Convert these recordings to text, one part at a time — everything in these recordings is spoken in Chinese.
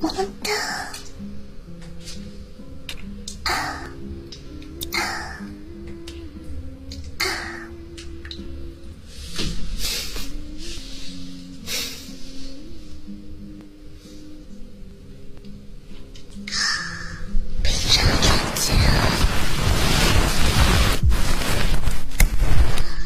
我的啊啊啊！闭上眼睛。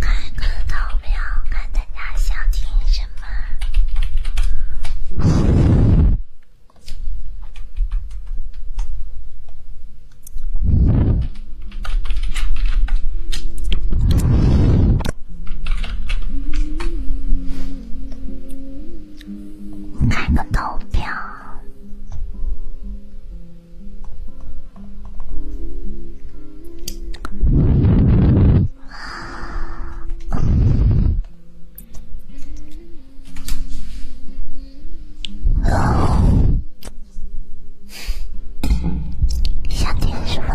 开个投票，看大家想听什么。开个投票。啊，嗯，想点什么？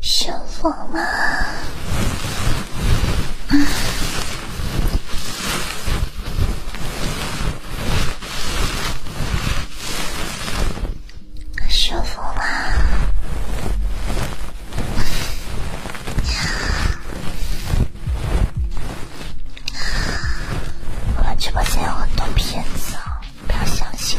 舒服吗？舒服吗？我们直播间有很多骗子啊，不要相信。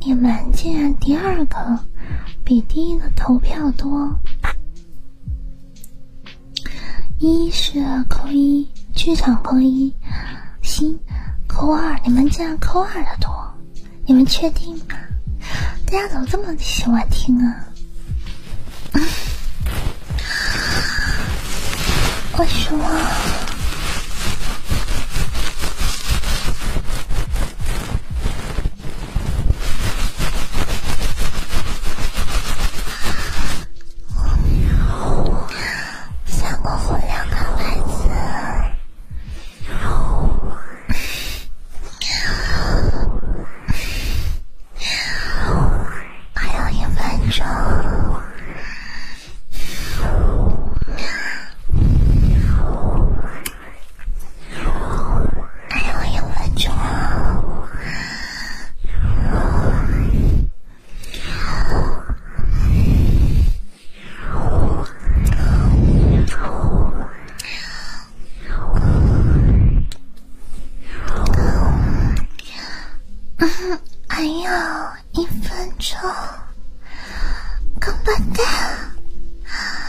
你们竟然第二个比第一个投票多，一是扣一，剧场扣一，星扣二，你们竟然扣二的多，你们确定吗？大家怎么这么喜欢听啊？为什么？你好，三个红亮的牌子，还有一分钟。还有一分钟，嗯，还有一分钟，光棍蛋。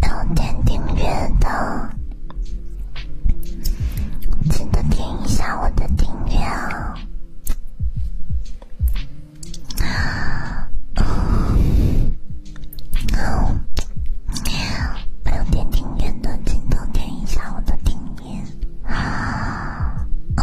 没有点订阅的，记得点一下我的订阅。点的，记得点一下我的啊，哦。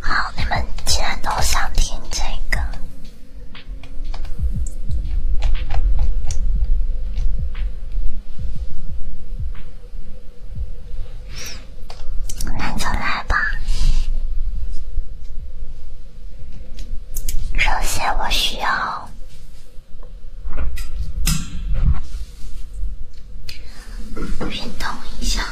好，你们既然都想听这个，那就来吧。首先，我需要。好。运动一下。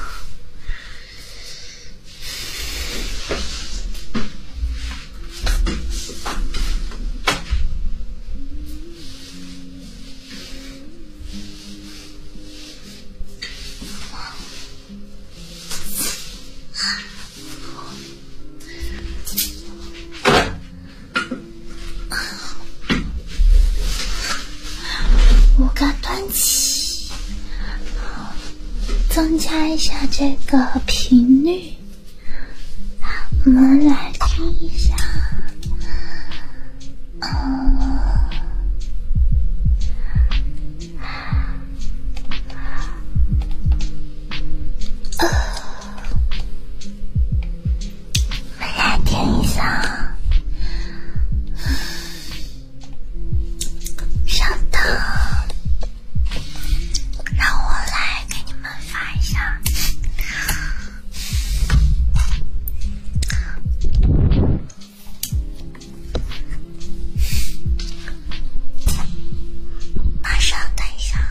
五个端起，增加一下这个频率，我们来听一下。来听一下，稍等，让我来给你们发一下，马上，等一下。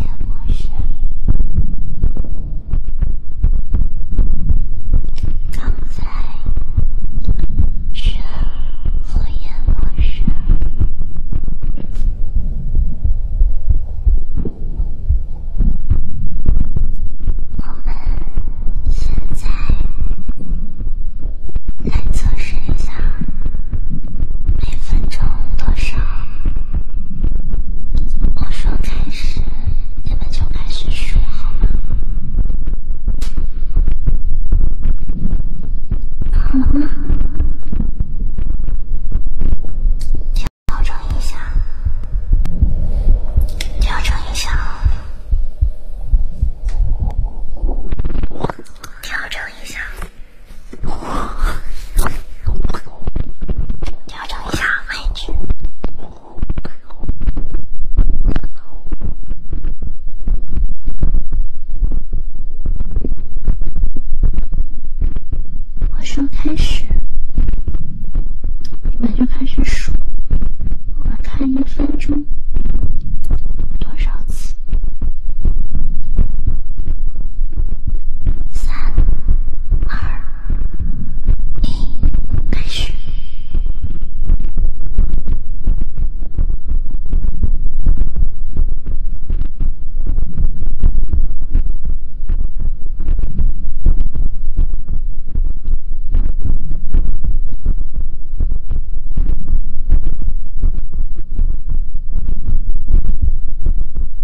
也陌生。刚才是我也陌生。我们现在来测试一下每分钟多少。我说开始，你们就开始说好吗？好了吗？调调整一下，调整一下，调整一下。调整一下位置。我说开始，你们就开始数，我看一分钟多少次。三、二、一，开始。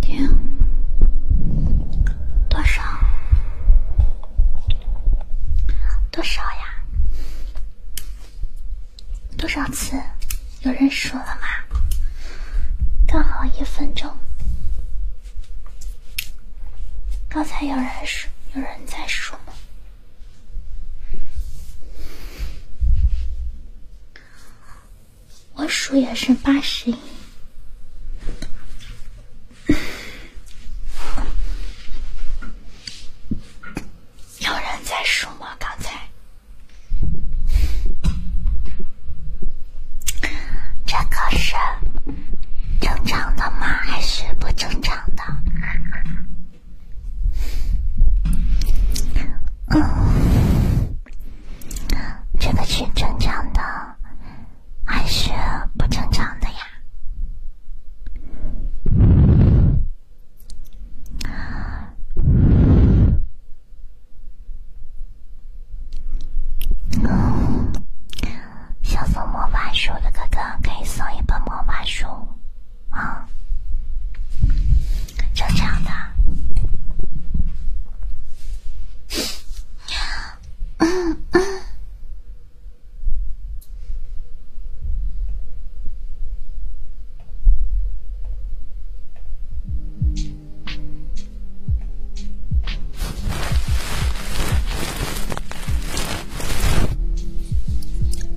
停？多少？多少呀？多少次？有人数了吗？刚好一分钟。刚才有人数，有人在数吗？我数也是八十一。有人在数吗？刚才？这个是正常的吗？还是不正常的？嗯，这个是正常的还是不正常的呀？想送魔法书的哥哥可以送一本魔法书啊，就这样的。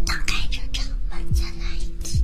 打开车窗，门再来一次。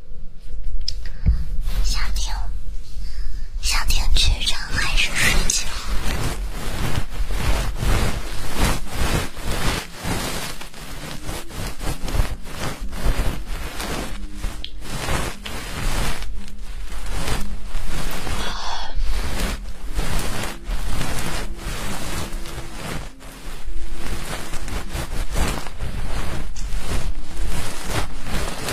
想听，想听剧场还是睡觉？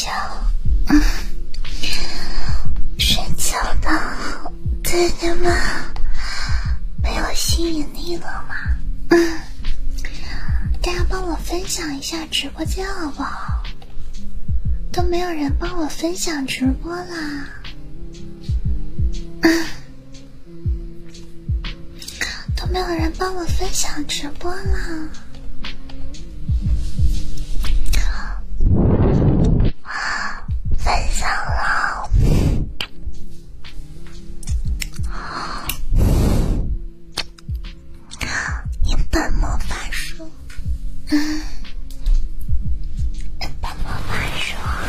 叫睡觉的姐姐们没有吸引力了吗？嗯，大家帮我分享一下直播间好不好？都没有人帮我分享直播啦，都没有人帮我分享直播啦。分享了，一本魔法书，嗯，一本魔法书。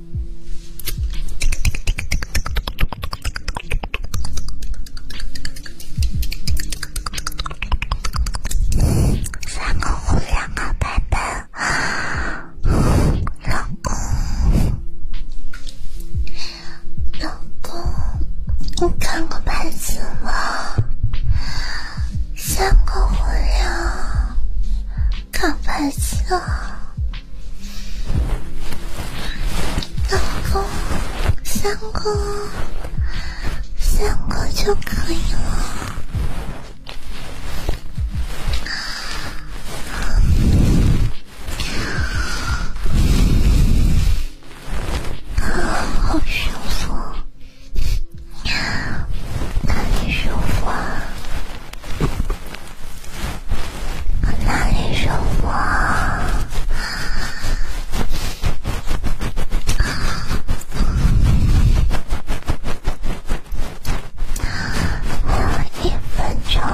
三个红，两个白白，老公，老公，你看个牌子吗？三个红亮。搞白色，老公三个，三个就可以了。啊，好舒服，哪里舒服？那里是我？还有一分钟，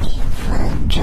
一分钟。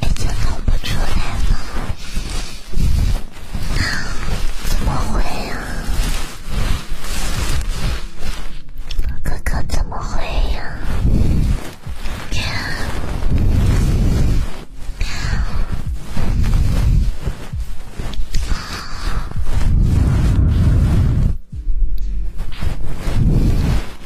已经弄不出来了，怎么会呀？哥哥怎么会呀？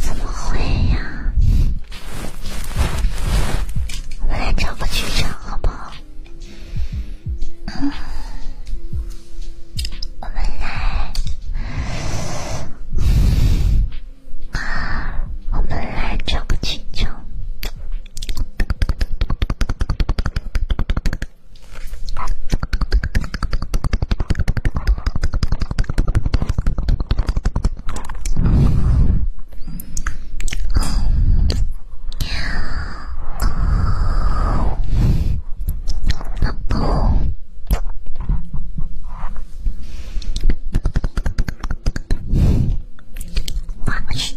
怎么会呀？我们找个剧场好不好？嗯，我们来。啊，我们来找个气球。哦，老公。我去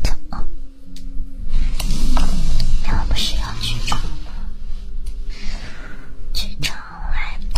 唱，要不是要去唱，去唱来吧。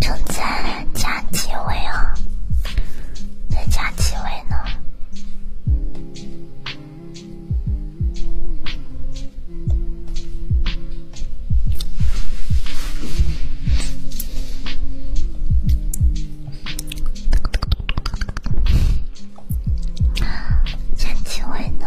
正在加机位啊？在加机位呢？加位呢？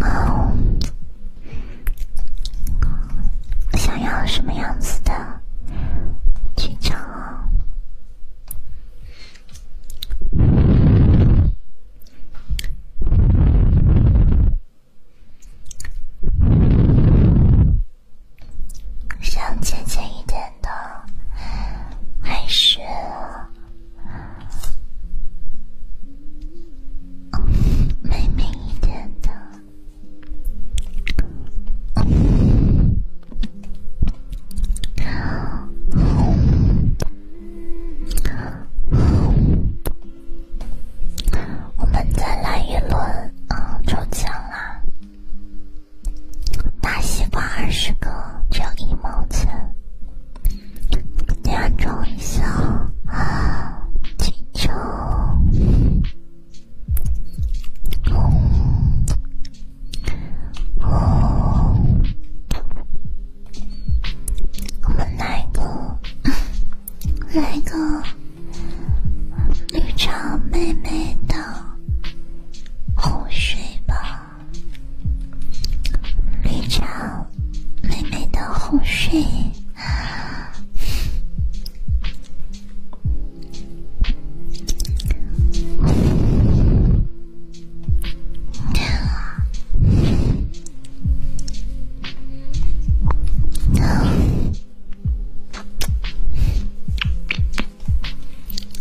哦，想要什么样子的？紧张？想浅浅一点的，还是？美美一点的，我们再来一轮啊，抽签啦！大西瓜二十个只要一毛钱，两种一下啊！气球，哦，我们来一个，来一个绿茶妹妹的哄睡吧。绿茶妹妹的红睡。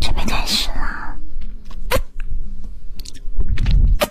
准备开始啦！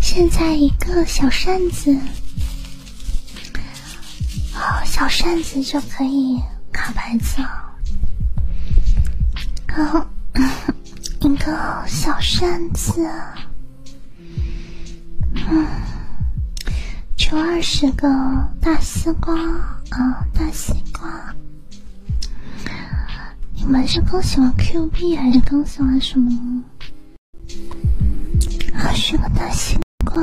现在一个小扇子，好小扇子就可以卡牌子了。然后 一个小扇子。求二十个大西瓜啊！大西瓜，你们是更喜欢 Q 币还是更喜欢什么？二十个大西瓜。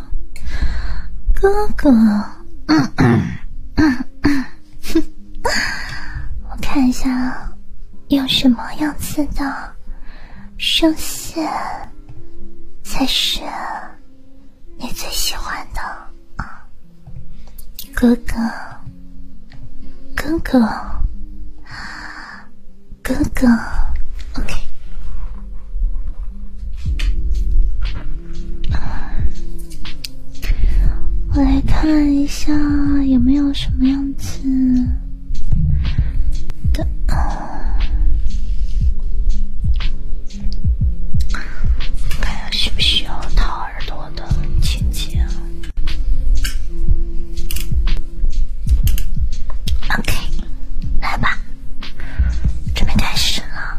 哥哥，我看一下，用什么样子的声线才是你最喜欢的？哥哥，哥哥，哥哥，OK。我来看一下有没有什么样子的，看下需不需要掏耳朵的情节。OK，来吧，准备开始了。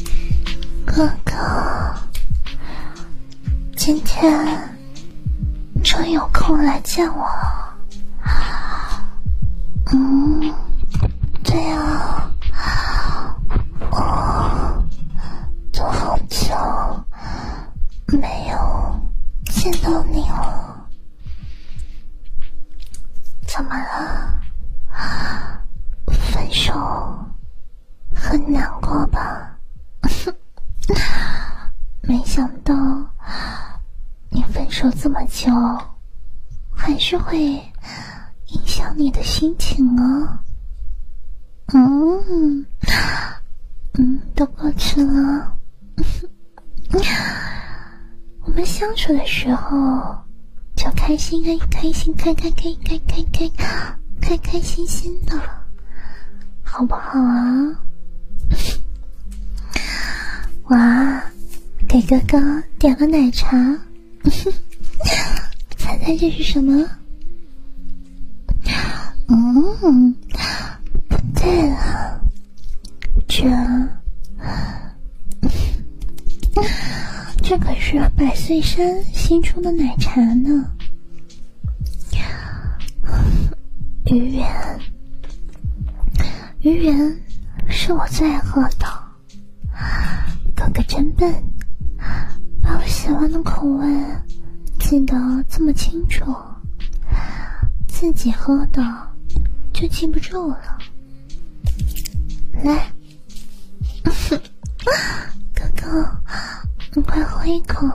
哥哥，今天终于有空来见我了。嗯，对啊，我好久没有见到你了，怎么？啊，分手很难过吧？没想到你分手这么久，还是会影响你的心情啊。嗯，嗯，都过去了。我们相处的时候。就开心，开开心，开开开开开开，开开心心的，好不好啊？哇，给哥哥点了奶茶，猜 猜这是什么？嗯，不对了，这。这可是百岁山新出的奶茶呢，芋圆，芋圆是我最爱喝的。哥哥真笨，把我喜欢的口味记得这么清楚，自己喝的就记不住了。来。哥哥，你快喝一口。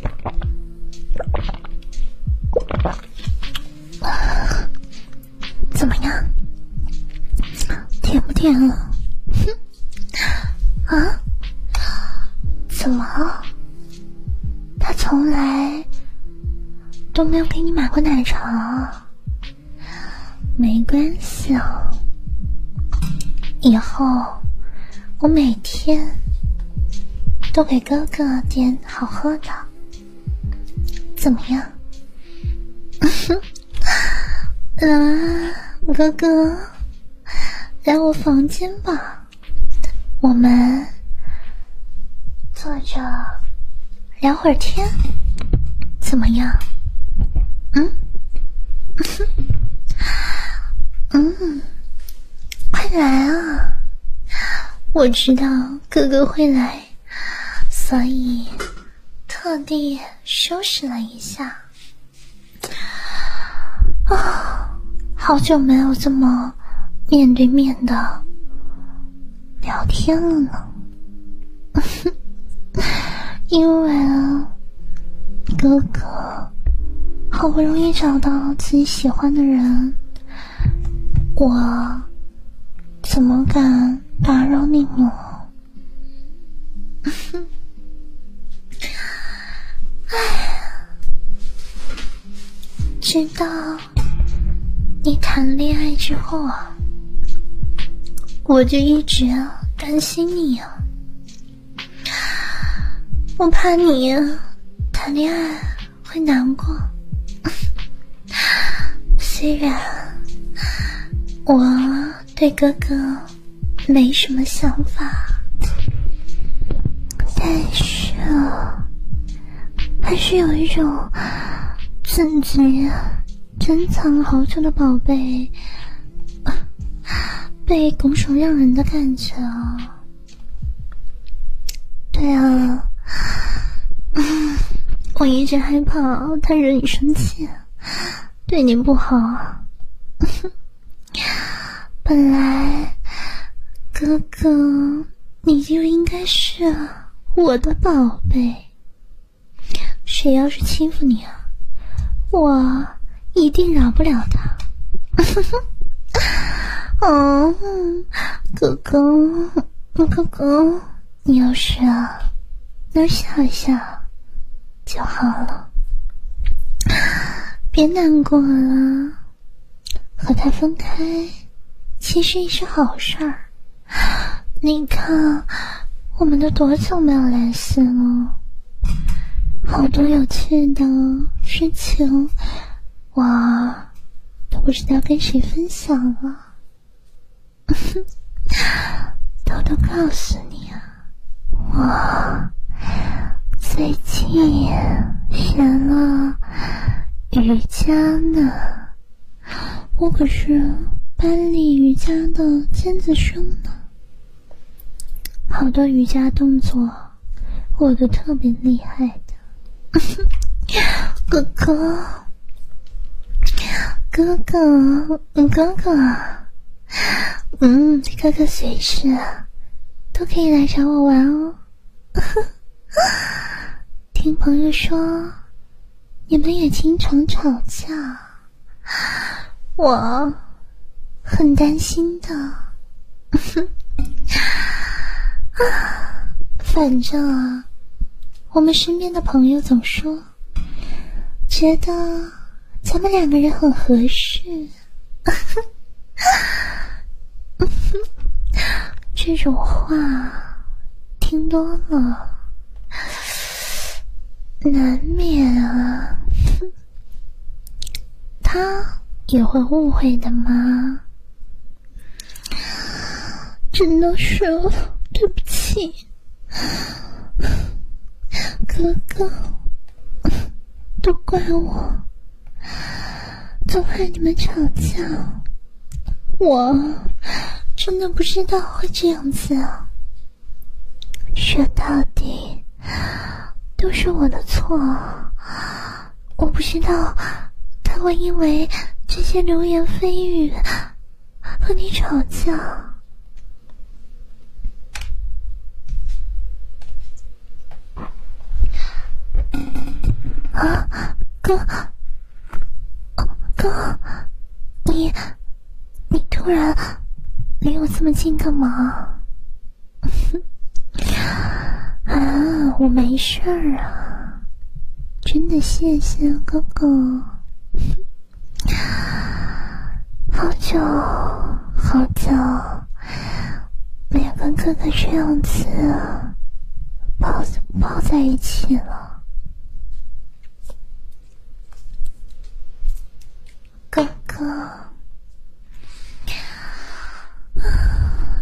怎么样？甜不甜？啊？怎么他从来都没有给你买过奶茶。没关系哦，以后我每天都给哥哥点好喝的，怎么样？啊，哥哥，来我房间吧，我们。坐着聊会儿天，怎么样？嗯，嗯，快来啊！我知道哥哥会来，所以特地收拾了一下。啊，好久没有这么面对面的聊天了呢。因为哥哥好不容易找到自己喜欢的人，我怎么敢打扰你呢？哎，知道。你谈恋爱之后啊，我就一直担心你啊，我怕你谈恋爱会难过。虽然我对哥哥没什么想法，但是啊。还是有一种自己珍藏好久的宝贝被拱手让人的感觉啊！对啊，我一直害怕他惹你生气，对你不好。本来哥哥你就应该是我的宝贝。谁要是欺负你啊，我一定饶不了他。嗯，哥哥，哥哥，你要是能笑一笑就好了，别难过了。和他分开其实也是好事儿。你看，我们都多久没有联系了？好多有趣的事情，我都不知道跟谁分享了。偷偷告诉你啊，我最近学了瑜伽呢。我可是班里瑜伽的尖子生呢，好多瑜伽动作我都特别厉害的。哥哥，哥哥，哥哥，嗯，哥哥随时都可以来找我玩哦。听朋友说，你们也经常吵架，我很担心的。反正我们身边的朋友总说，觉得咱们两个人很合适。这种话听多了。难免啊，他也会误会的吗？真的是，对不起，哥哥，都怪我，总害你们吵架。我真的不知道会这样子啊！说到底都是我的错，我不知道他会因为这些流言蜚语和你吵架啊，哥。哥，你你突然离我这么近干嘛？啊，我没事儿啊，真的，谢谢哥哥。好久好久没有跟哥哥这样子抱抱在一起了。哥哥，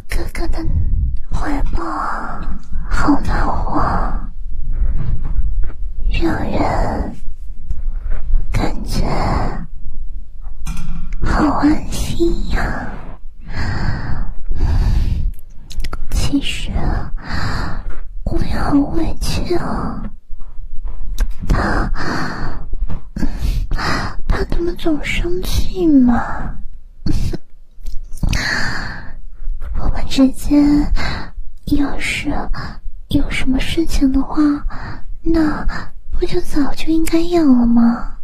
哥哥的怀抱好暖和，让人感觉好安心呀。其实，我好委屈啊！他，他怎么总生气嘛？我们之间要是有什么事情的话，那不就早就应该有了吗？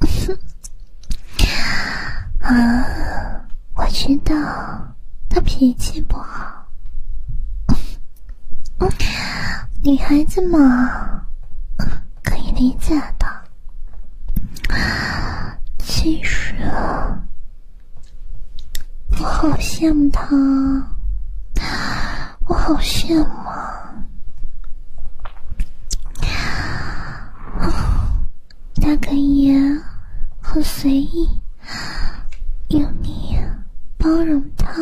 啊，我知道。他脾气不好，女孩子嘛，可以理解的。其实，我好羡慕他，我好羡慕。他可以很随意，有你包容他，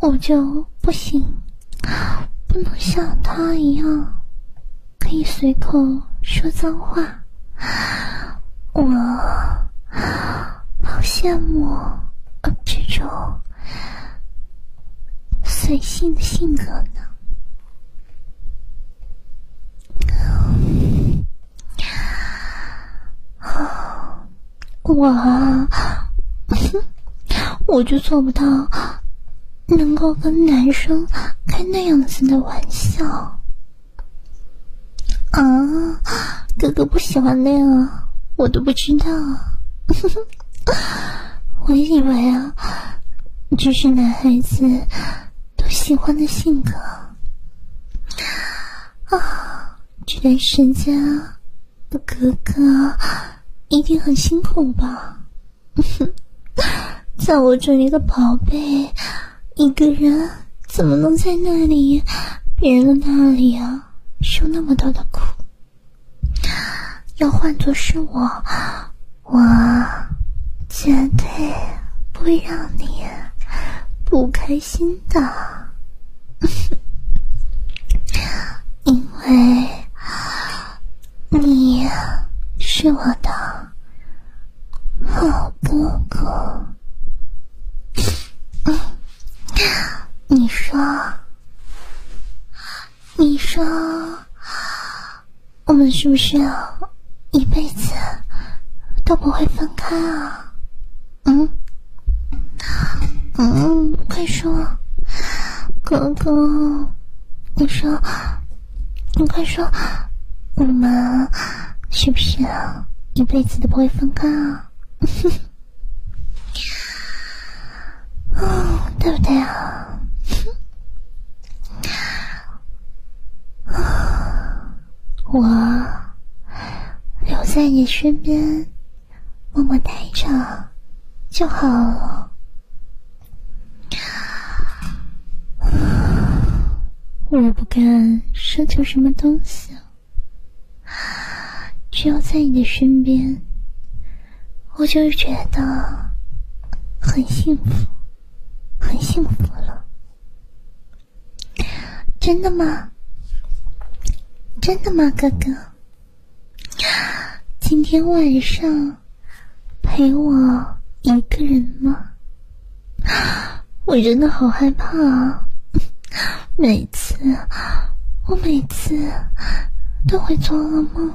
我就不行，不能像他一样可以随口说脏话，我好羡慕这种随性的性格呢。我，我就做不到，能够跟男生开那样子的玩笑。啊，哥哥不喜欢那样，我都不知道。我以为啊。这是男孩子都喜欢的性格啊！这段时间的哥哥一定很辛苦吧？在我这里的宝贝，一个人怎么能在那里别人的那里啊，受那么多的苦？要换做是我。我绝对不会让你不开心的，因为你是我的好哥哥。你说，你说。我们是不是一辈子都不会分开啊？嗯，嗯，快说，哥哥，你说，你快说，我们是不是啊，一辈子都不会分开啊？嗯，对不对啊？哼，我留在你身边默默待着就好了。我不敢奢求什么东西，只要在你的身边，我就觉得很幸福。很幸福了，真的吗？真的吗，哥哥？今天晚上陪我一个人吗？我真的好害怕啊！每次，我每次都会做噩梦。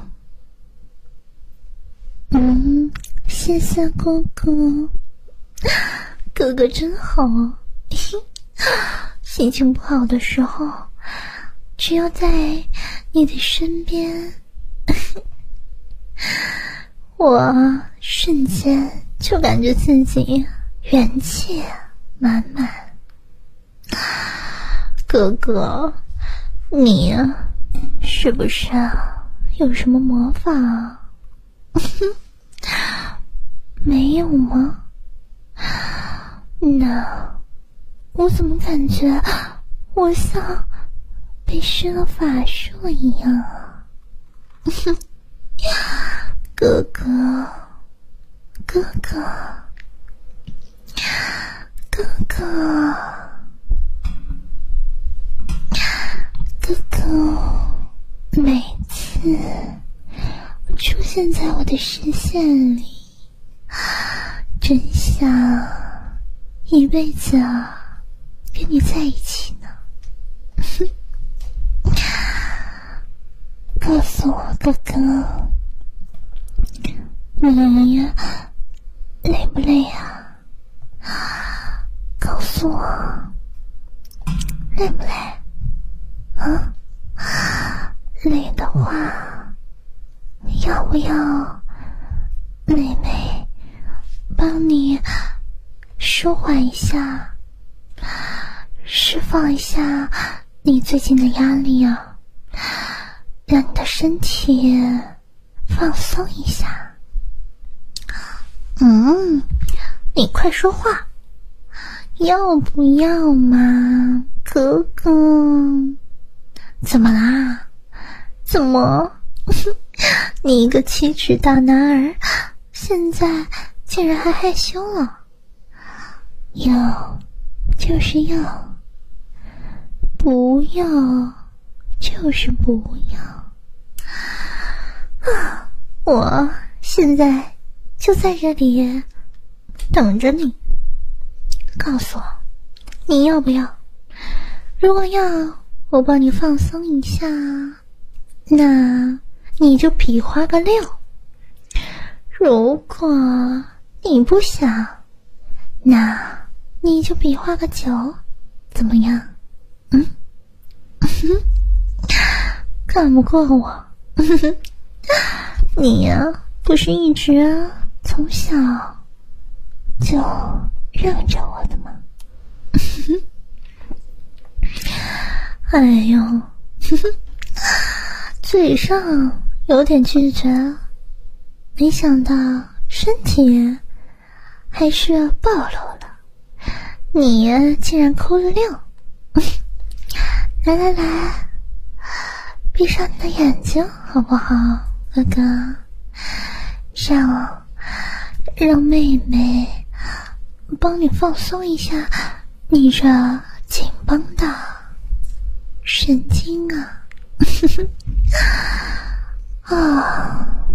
嗯，谢谢哥哥，哥哥真好。心情不好的时候，只要在你的身边，我瞬间就感觉自己元气满满。哥哥。你呀，是不是啊？有什么魔法啊？没有吗？那我怎么感觉我像被施了法术一样啊？哥哥，哥哥。哥哥，哥哥，每次出现在我的视线里，真想一辈子啊，跟你在一起呢。告诉我，哥哥，你累不累呀？告诉我，累不累？啊，累的话，要不要妹妹帮你舒缓一下，释放一下你最近的压力啊，让你的身体。放松一下，嗯，你快说话，要不要嘛，哥哥？怎么啦？怎么？你一个七尺大男儿，现在竟然还害羞了？要，就是要，不要？就是不要啊！我现在就在这里等着你，告诉我你要不要。如果要，我帮你放松一下，那你就比划个六。如果你不想，那你就比划个酒，怎么样？嗯，哼，干不过我，哼哼，你呀，不是一直从小就让着我的吗？哼哼，哎呦，哼哼，嘴上有点拒绝，没想到身体。还是暴露了，你竟然抠了六！来来来，闭上你的眼睛好不好，哥哥？让让妹妹帮你放松一下，你这紧绷的神经啊！呵呵啊！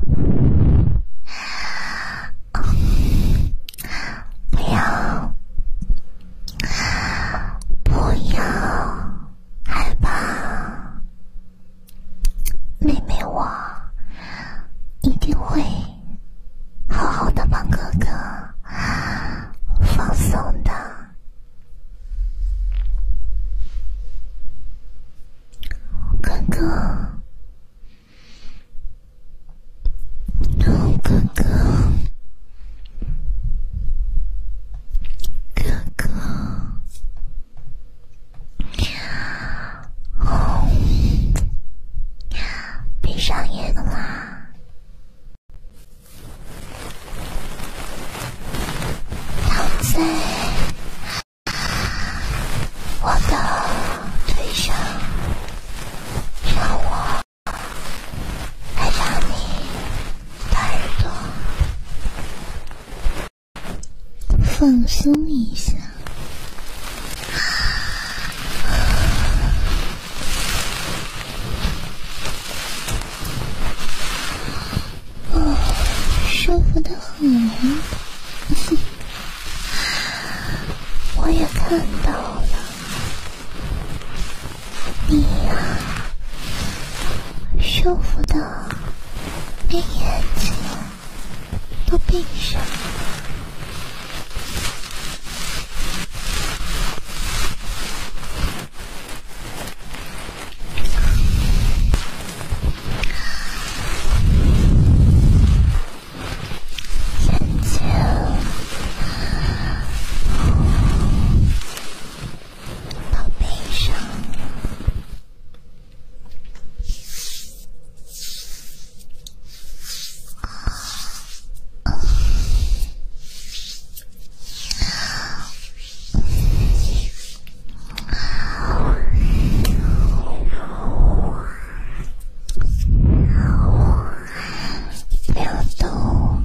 不要，不要害怕，妹妹我一定会好好的帮哥哥放松的。哥哥，哥哥，哥哥，闭上眼睛啦，躺在。我的腿上，让我来让你耳朵，放松一下。哦，舒服的很。我也看到了，你呀，舒服的连眼睛都闭上了。眼睛，宝贝，上。不要动！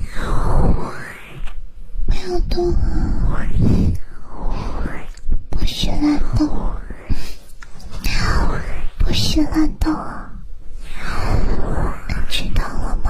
知道了吗？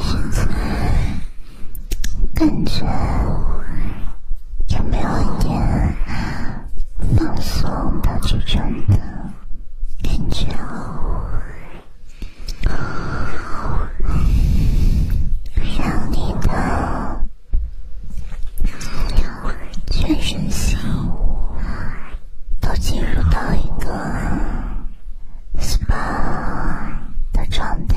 现在感觉有没有一点放松到极致的感觉？想你的。全身心都进入到一个 spa 的状态。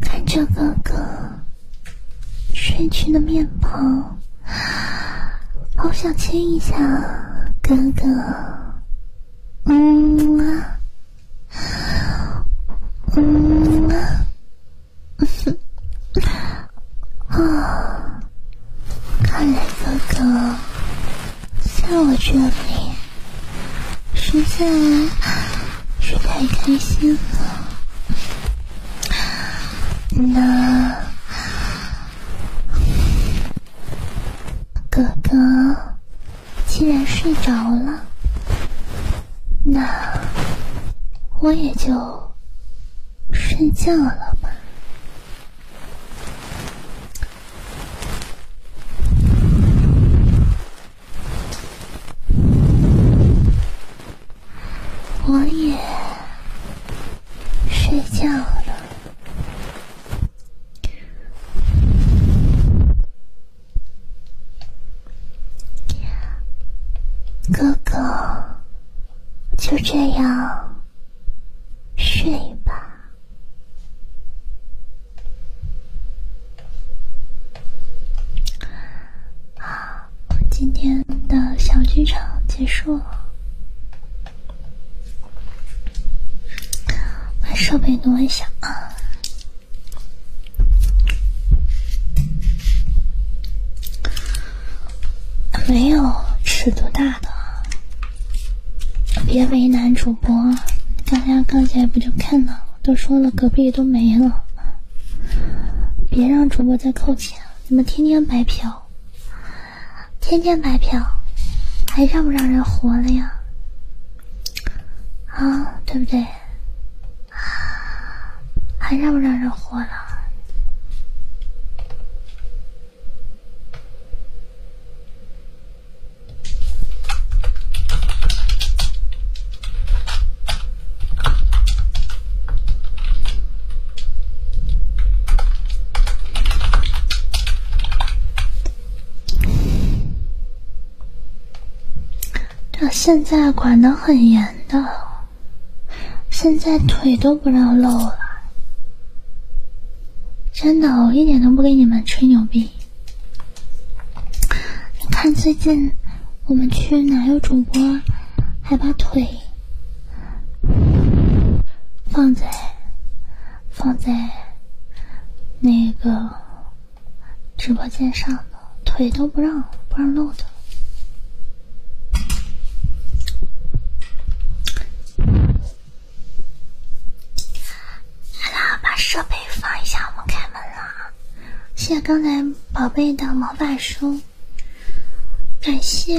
看着哥哥睡去的面庞，好想亲一下哥哥。嗯啊，嗯啊，嗯哼，啊，看来哥哥。在我这里，实在是太开心了。那哥哥既然睡着了，那我也就睡觉了吧。我也睡觉了，哥哥，就这样睡吧。好，今天的小剧场结束了，把设备挪一下啊。没有尺度大的，别为难主播。大家刚才不就看了？都说了隔壁都没了，别让主播再扣钱，你们天天白嫖，天天白嫖，还让不让人活了呀？啊，对不对？还让不让人活了？到现在管得很严的，现在腿都不让露了，真的，我一点都不跟你们吹牛逼。你看，最近我们去哪有主播，还把腿放在放在那个直播间上的，腿都不让不让露的。好了，把设备放一下，我们开门了。谢谢刚才宝贝的魔法书，感谢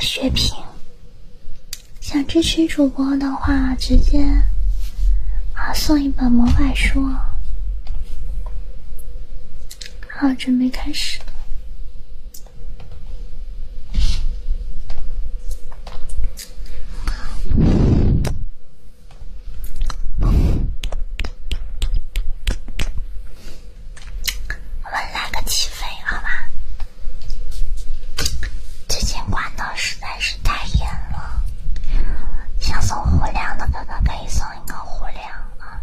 血瓶。想支持主播的话，直接啊送一本魔法书。好，准备开始。我们来个起飞，好吧？最近管道实在是太严了，想送火粮的哥哥可以送一个火粮啊。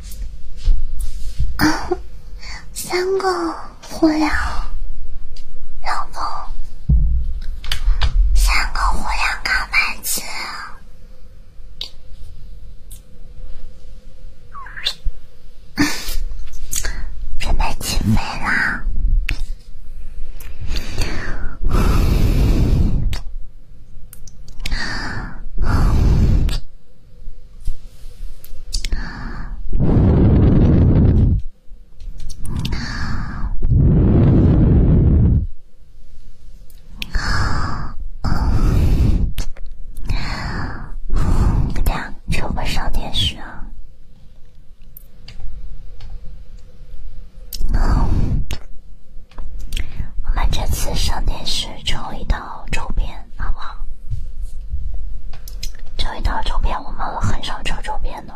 三个胡杨，老公，三个胡杨扛板子，准备起飞啦！啊啊啊！大家抽个少点血啊！我们这次上电视抽一套周边，好不好？抽一套周边，我们很少抽周边的，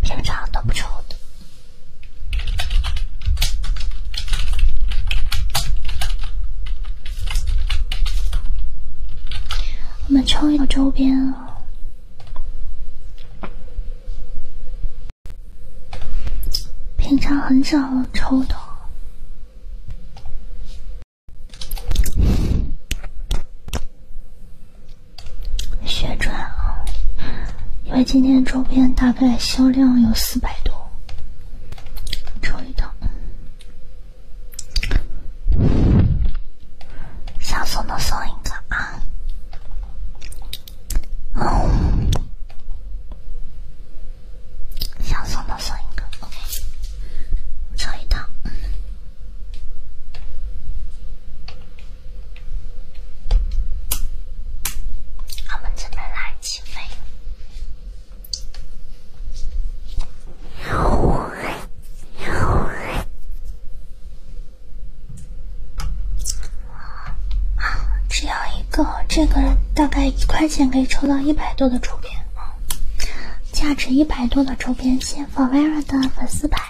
平常都不抽的。我们抽一个周边啊。平常很少抽的，血赚啊！因为今天周边大概销量有四百多，抽一套，想送的送一个啊！想送的送一个，OK，一套。我们准备来起飞，黑，黑，只要一。个，这个大概一块钱可以抽到一百多的周边，啊，价值一百多的周边，先发薇娅的粉丝牌。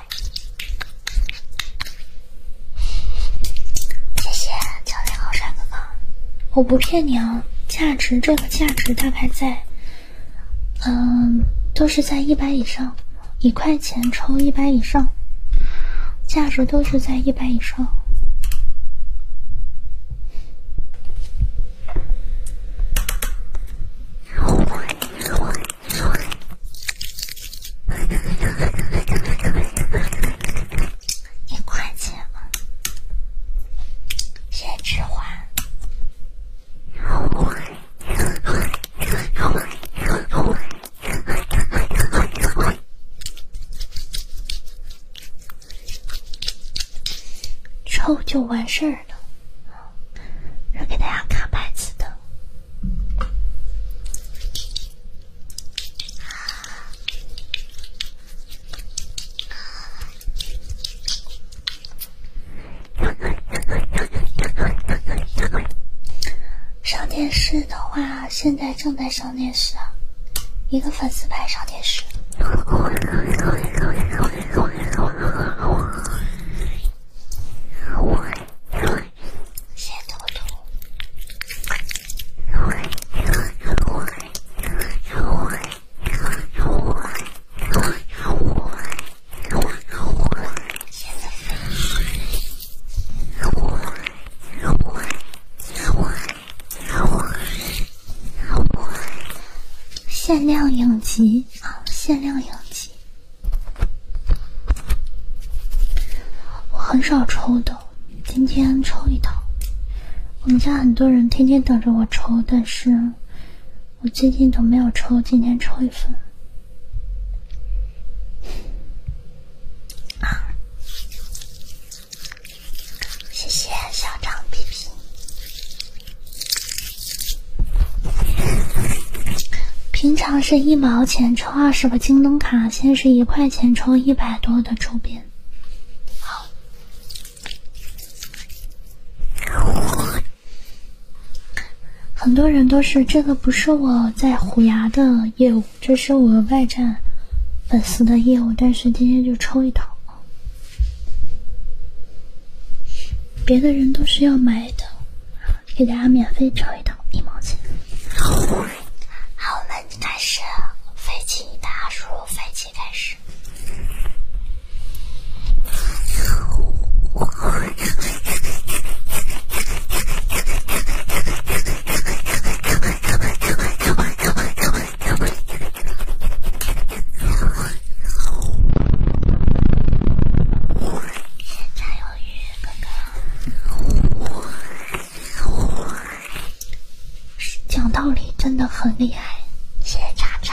谢谢教练，好帅哥哥，我不骗你啊，价值这个价值大概在，嗯，都是在一百以上，一块钱抽一百以上，价值都是在一百以上。换换换，可以可以可以可以可以，一块钱吗？先去换。换换换换换换换换换换换。抽就完事儿了，要给大家看牌子的。上电视的话，现在正在上。上电视，啊，一个粉丝牌上电视。好好限量影集啊，限量影集。我很少抽的，今天抽一套。我们家很多人天天等着我抽，但是我最近都没有抽，今天抽一份。谢谢小张批评。平常是一毛钱抽二十个京东卡，现在是一块钱抽一百多的周边。好，很多人都是这个不是我在虎牙的业务，这是我外站粉丝的业务，但是今天就抽一套。别的人都是要买的，给大家免费找一套，一毛钱。好，我们开始飞机，大家输入飞机开始。现在有鱼哥哥，讲道理真的很厉害，谢叉叉，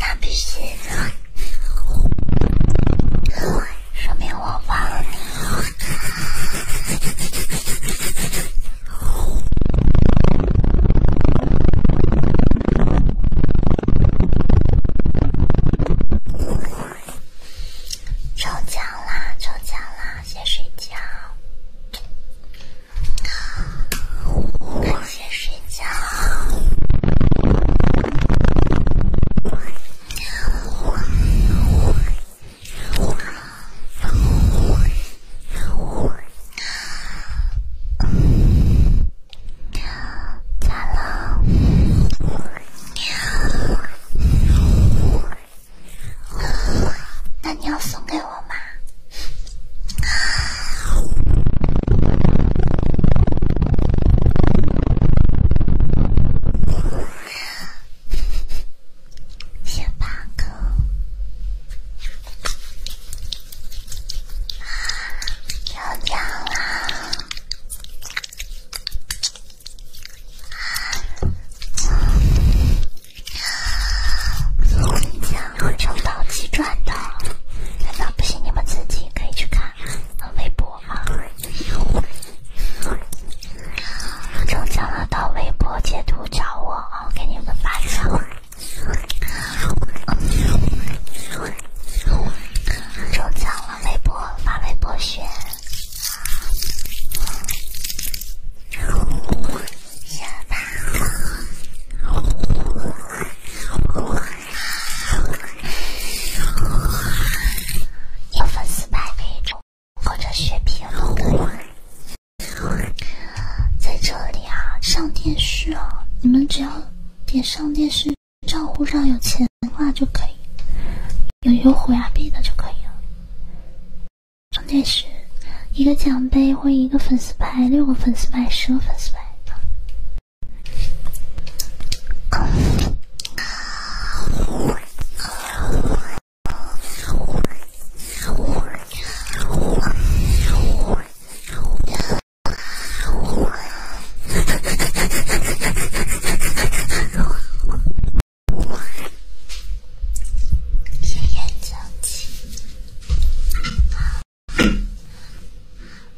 那必须，的。说明我忘了你。抽奖啦！抽奖啦！先睡觉。我先睡觉！那你要送给我吗？小八哥，了，啊！抽到即转的？难道不信？你们自己可以去看看微博吗？中奖了到微博截图找我啊，我给你们发奖。中奖了微博发微博选。有粉丝牌可以种，或者雪碧也可以。在这里啊，上电视啊，你们只要点上电视，账户上有钱的话就可以，有优酷呀币的就可以了。上电视，一个奖杯或一个粉丝牌，六个粉丝牌，十个粉丝牌。别生气。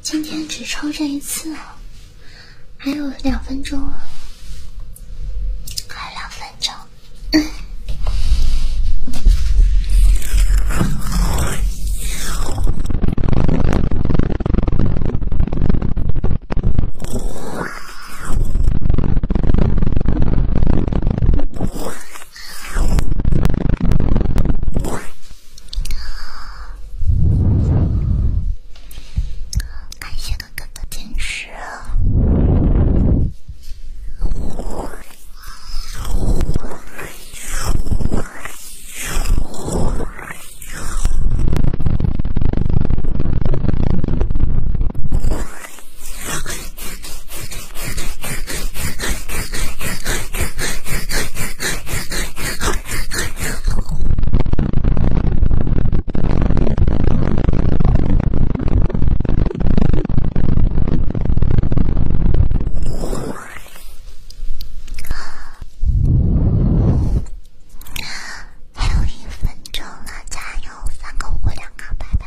今天只抽这一次，还有两分钟，还两分钟。感谢哥哥的坚持。还有一分钟了，加油！三个五个两个，拜拜。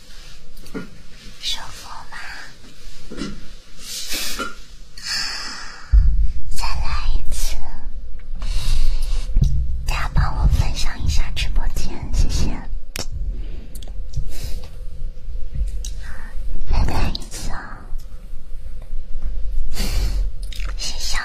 舒服吗？再来一次！大家帮我分享一下直播间，谢谢。再来一次，啊，谢逍遥。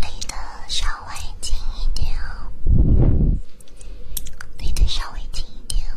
离得稍微近一点哦，离得稍微近一点哦。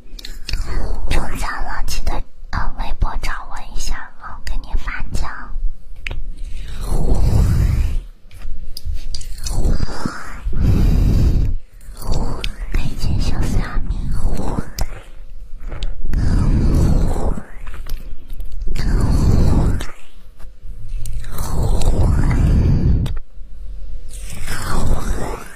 中奖了，记得呃微博找我一下，我给你发奖。小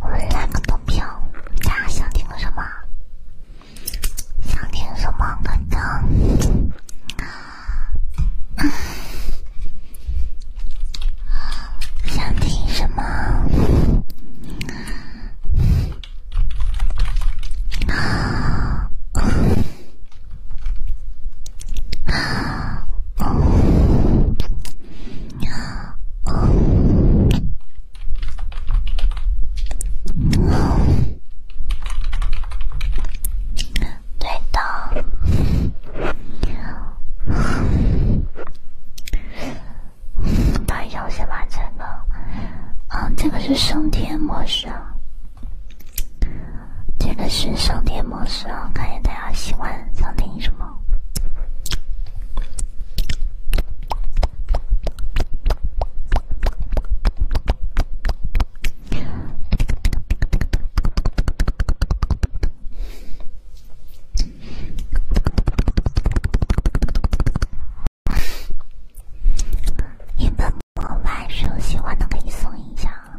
我们来个投票，大家想听什么？想听什么歌呢？想听什么？啊！哦，哦，对的。大家要先把这个，嗯，这个是升天模式。这个是省电模式啊，看下大家喜欢想听什么。你们我来说喜欢的可以送一下啊。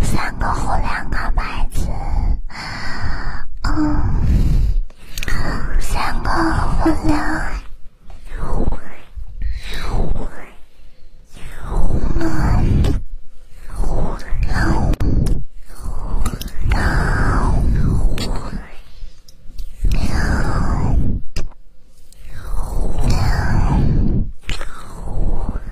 三个红两个白子，嗯，三个红两。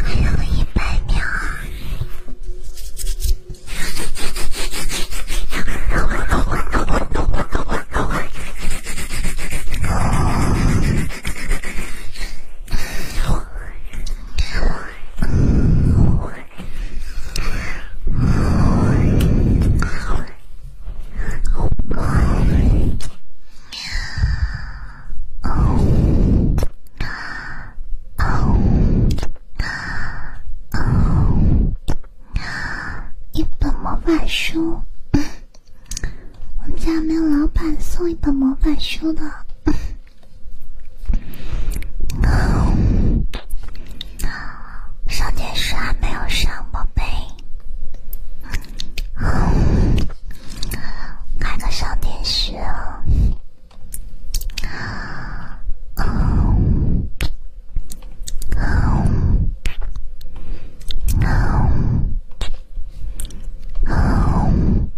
还有一百秒啊！哦，哦，哦，哦，一书。我们家没有老板送一本魔法书的。上电视还没有上，宝贝，开个上电视啊！嗯嗯嗯嗯，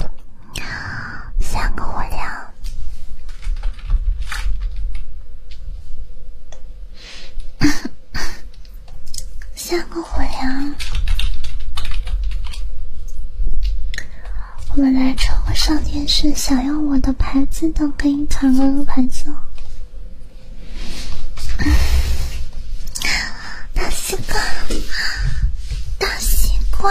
三个火枪。下个火呀！我们来抽个上电视，想要我的牌子的可以抢个牌子。大西瓜，大西瓜。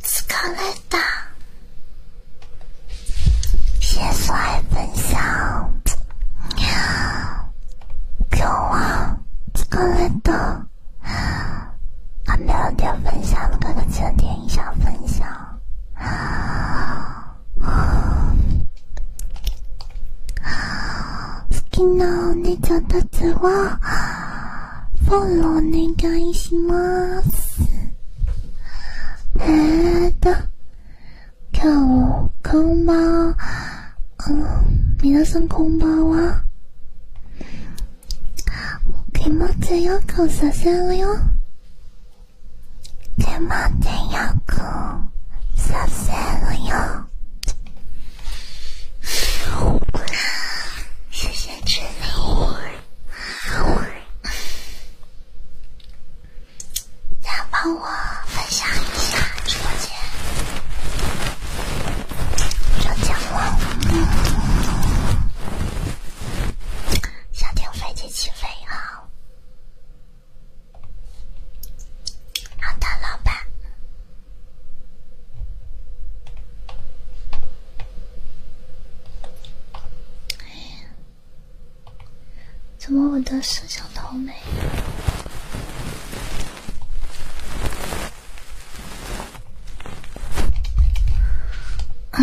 斯卡莱达，谢谢所爱分享。喵，给我斯卡莱达，点分享的哥哥，请点一下分享。好きなお姉ちゃんたちはフォローお願いしますえーと今日こんばんは皆さんこんばんは気持ちよくさせるよ気持ちよくさせるよ好乖，谢谢支持。来帮我分享一下直播间，抽奖吗？想听飞机起飞啊？好的，老板。哎呀，怎么我的摄像头没？啊！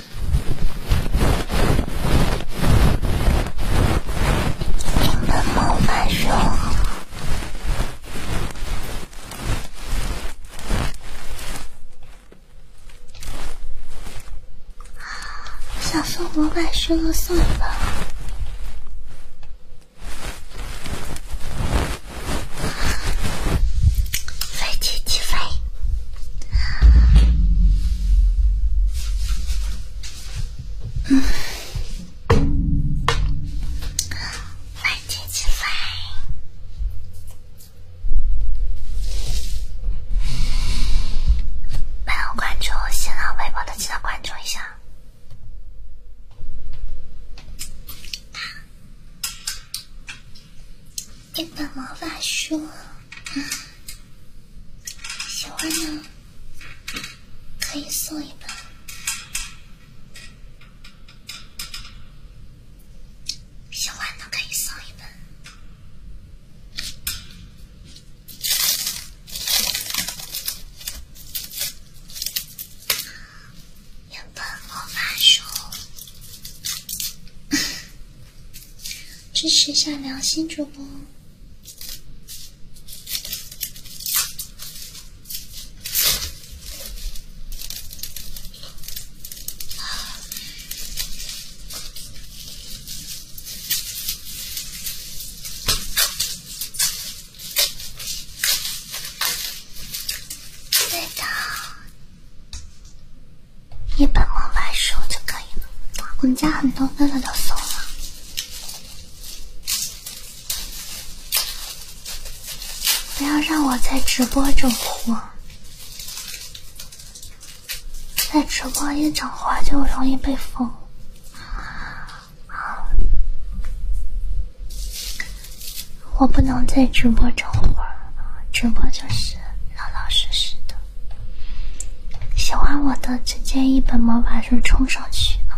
你们魔法熊，想送我买熊的送吧，飞机起飞。来听起来，没有关注新浪微博的，记得关注一下。一本魔法书，喜欢的可以送一本，喜欢的可以送一本，一本魔法书。支持一下良心主播。对的。一本魔法书就可以了。我们家很多哥哥都送了。不要让我在直播整活，在直播一整活就容易被封。我不能在直播整活直播就是。老老实实的，喜欢我的直接一本魔法书冲上去啊！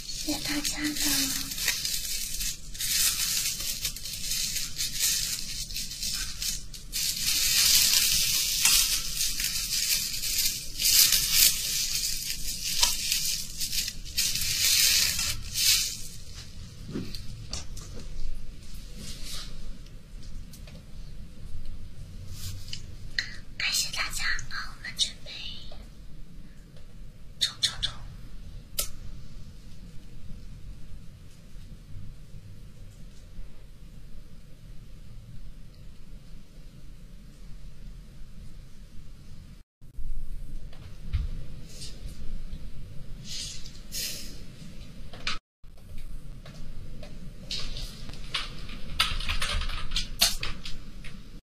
谢谢大家的，感谢大家啊！我们准备。吵吵吵！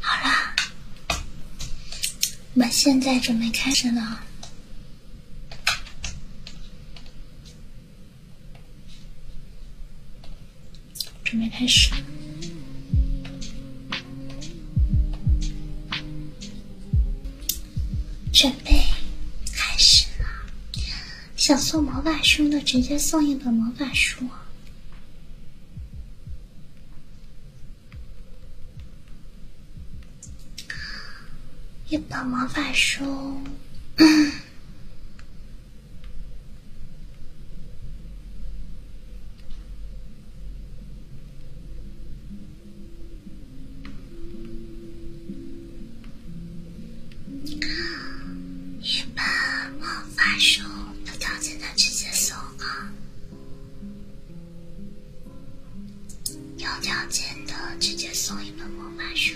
好啦，我们现在准备开始呢，准备开始。准备开始了。想送魔法书的直接送一本魔法书，一本魔法书。一本魔法书，有条件的直接送啊！有条件的直接送一本魔法书。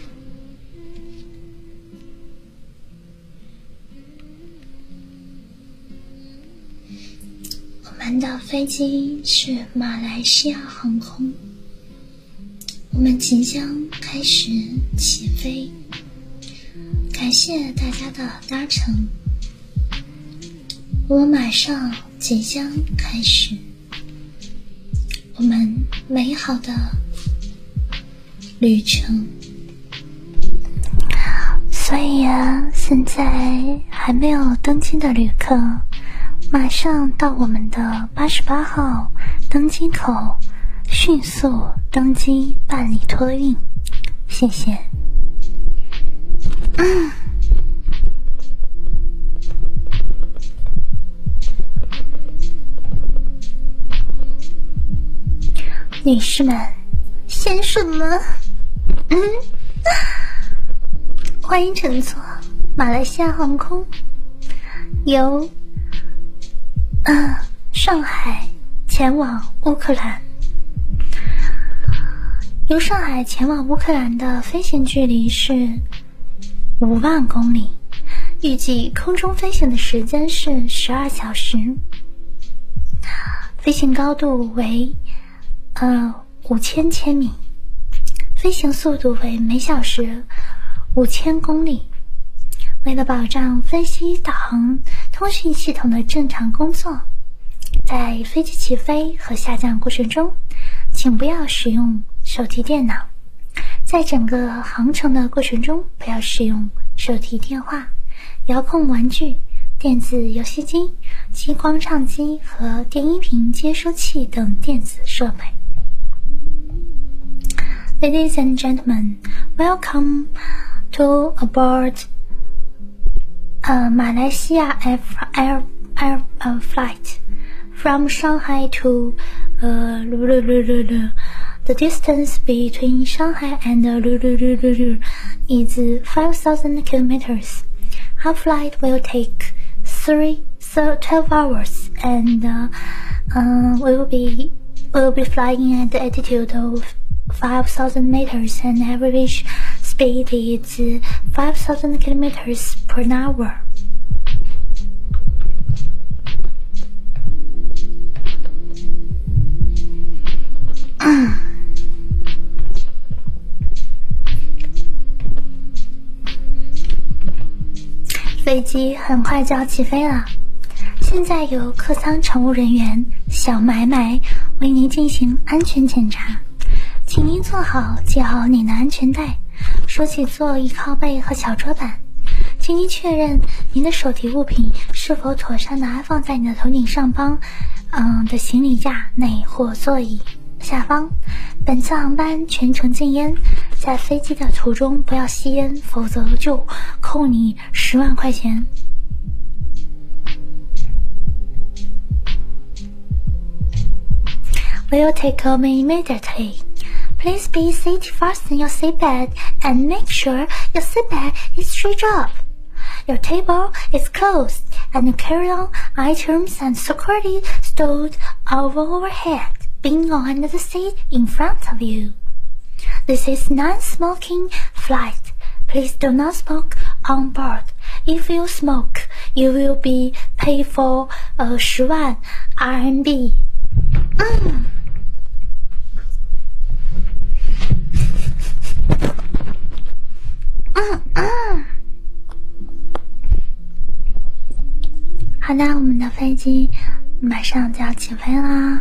我们的飞机是。马来西亚航空，我们即将开始起飞。感谢大家的搭乘，我们马上即将开始我们美好的旅程。所以呀，现在。还没有登机的旅客，马上到我们的八十八号登机口，迅速登机办理托运，谢谢。女士们，先生们，嗯，欢迎乘坐。马来西亚航空由上海前往乌克兰，由上海前往乌克兰的飞行距离是五万公里，预计空中飞行的时间是十二小时，飞行高度为，嗯。五千千米，飞行速度为每小时五千公里。为了保障飞机导航、通讯系统的正常工作，在飞机起飞和下降过程中，请不要使用手提电脑；在整个航程的过程中，不要使用手提电话、遥控玩具、电子游戏。机、激光唱机和电音频接收器等电子设备。Ladies and gentlemen, welcome to aboard. 呃，马来西亚 F air air flight from Shanghai to 呃，the distance between Shanghai and is five thousand kilometers. Our flight will take three, so 12 hours, and uh, uh, we will be we will be flying at the altitude of 5,000 meters, and average speed is 5,000 kilometers per hour. 飞机很快就要起飞了，现在有客舱乘务人员小买买为您进行安全检查，请您坐好，系好您的安全带，收起座椅靠背和小桌板，请您确认您的手提物品是否妥善的安放在你的头顶上方，嗯的行李架内或座椅。下方，本次航班全程禁烟，在飞机的途中不要吸烟，否则就扣你十万块钱。Will take o m e immediately. Please be seated fast in your seat belt and make sure your seat belt is straight up. Your table is closed and carry on item. James and Socrates stood overhead, being on the seat in front of you. This is non-smoking flight. Please do not smoke on board. If you smoke, you will be paid for a 十万 RMB. 嗯。嗯嗯。好的，我们的飞机马上就要起飞啦。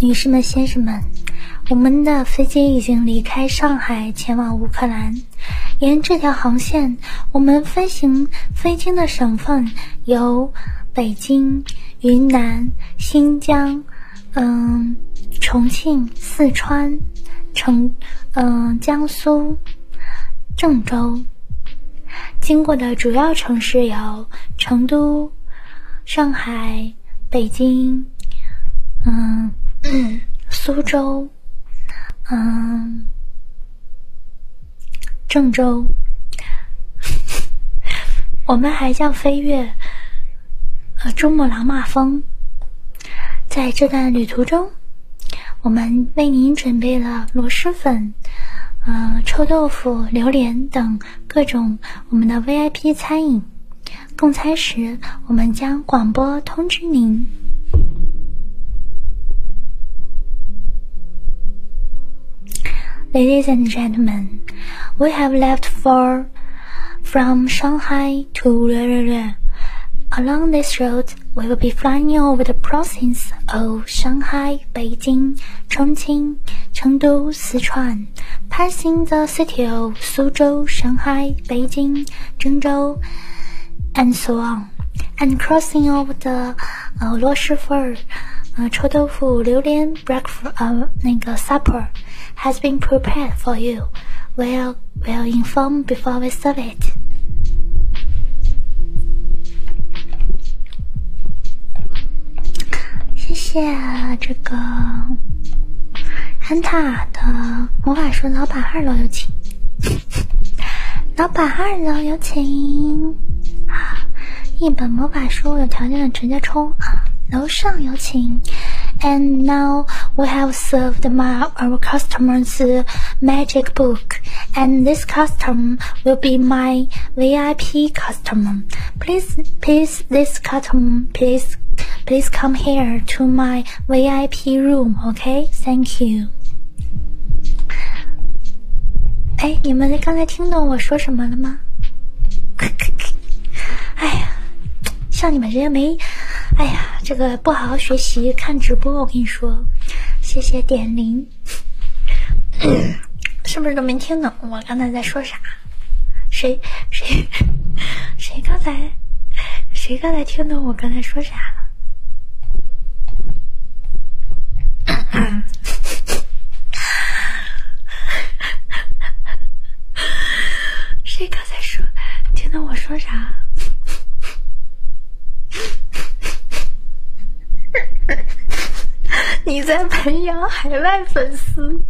女士们、先生们，我们的飞机已经离开上海，前往乌克兰。沿这条航线，我们飞行飞经的省份有北京、云南、新疆，嗯，重庆、四川、成，嗯，江苏、郑州。经过的主要城市有成都、上海。北京，嗯，苏州，嗯，郑州，我们还将飞跃，呃，珠穆朗玛峰。在这段旅途中，我们为您准备了螺蛳粉、嗯，臭豆腐、榴莲等各种我们的 VIP 餐饮。供餐时我们将广播通知您。Ladies and gentlemen, we have left for from Shanghai to Along this road, we will be flying over the provinces of Shanghai, Beijing, Chongqing, Chengdu, Passing the city of Suzhou, Shanghai, Beijing, Zhengzhou, and so on, and crossing over the 呃螺蛳粉、呃臭豆腐、榴莲 uh, uh, breakfast 呃那个 uh, supper has been prepared for you. we'll inform before we serve it. 大的魔法书老板二楼有请，老板二楼有请。啊，一本魔法书有条件的直接冲啊！楼上有请。And now we have served my, our customers magic book, and this customer will be my VIP customer. Please, please, this c u s t o m please, please come here to my VIP room, okay? Thank you. 哎，你们刚才听懂我说什么了吗？哎呀，像你们这些没……哎呀，这个不好好学习看直播，我跟你说。谢谢点零，是不是都没听懂我刚才在说啥？谁谁谁刚才谁刚才听懂我刚才说啥了？谁刚才说听懂我说啥？你在培养海外？爱粉丝。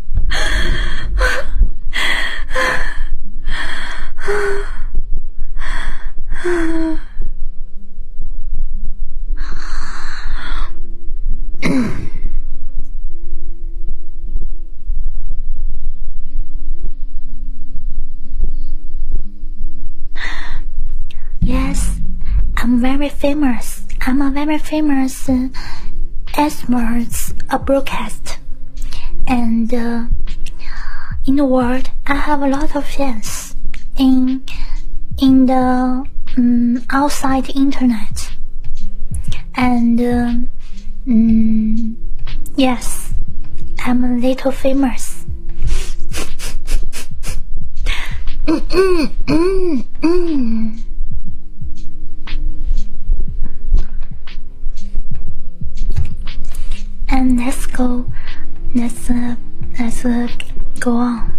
yes, I'm very famous. I'm a very famous. As Esmer's a broadcast, and uh, in the world, I have a lot of fans in in the mm, outside internet, and uh, mm, yes, I'm a little famous. And let's go. Let's uh, let's uh, go on.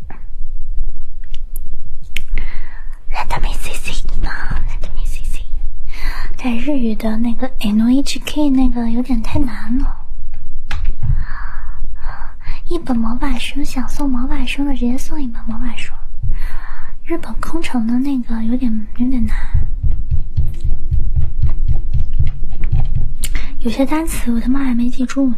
Let me see see，啊，Let me see see。在日语的那个 N H K 那个有点太难了。一本魔法书想送魔法书的直接送一本魔法书。日本空城的那个有点有点难。有些单词我他妈还没记住呢。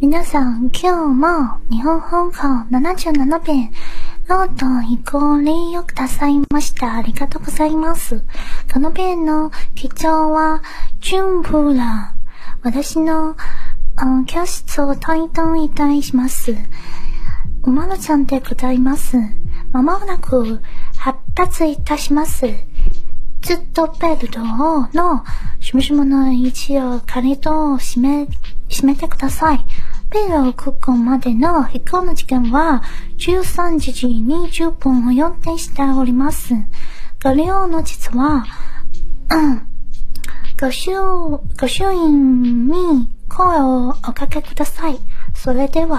皆さん、今日も日本本校77編、ロート移行礼をくださいました。ありがとうございます。このペンの基調は、純プラ。私の、教室を退団いたします。馬ありがとうございます。まもなく発達いたします。ずっとベルトのしもしもの位置を借りと締め、てください。ベルを空港までの飛行の時間は13時20分を予定しております。ご利用の実は、うん、ご主、ご主員に声をおかけください。それでは。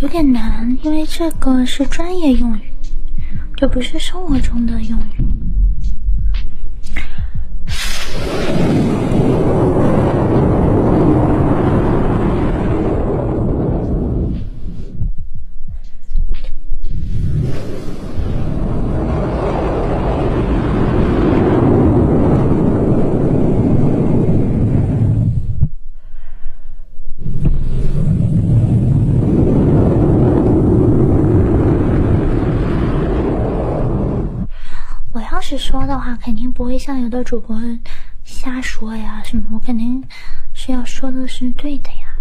有点难，因为这个是专业用语，就不是生活中的用语。我要是说的话，肯定不会像有的主播瞎说呀，什么？我肯定是要说的是对的呀。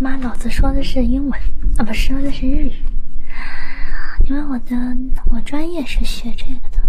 妈，老子说的是英文啊，不是说的是日语，因为我的我专业。也是学这个的。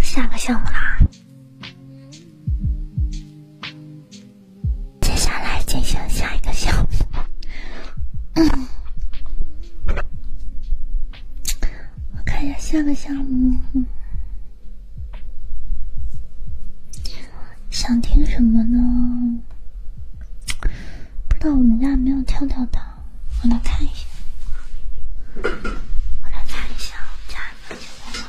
下个项目啦，接下来进行下一个项目。我看一下下个项目。想听什么呢？不知道我们家没有跳跳糖，我来看一下，我来看一下，家里面有吗？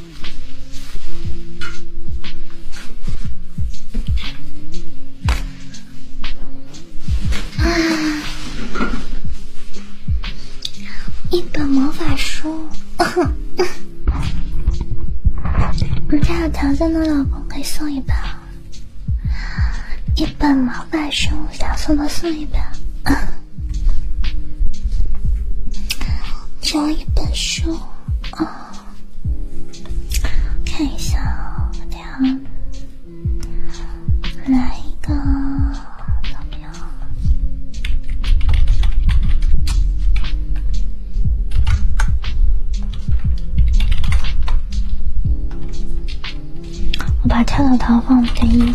啊！一本魔法书，你家有条件的老公可以送一本，一本魔法书想送的送一本。找一本书啊，看一下，怎么样？来一个，把跳跳糖放第一。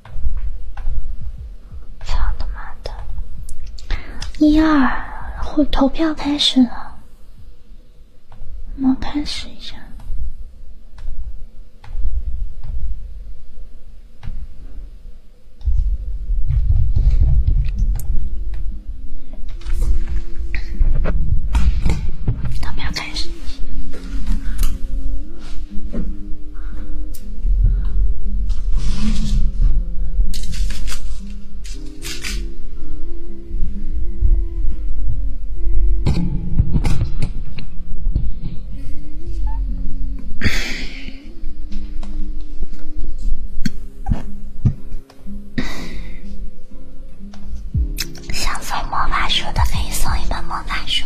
操他妈的！一二，会投票开始了，我们开始一下，他们要开始。想送魔法书的可以送一本魔法书。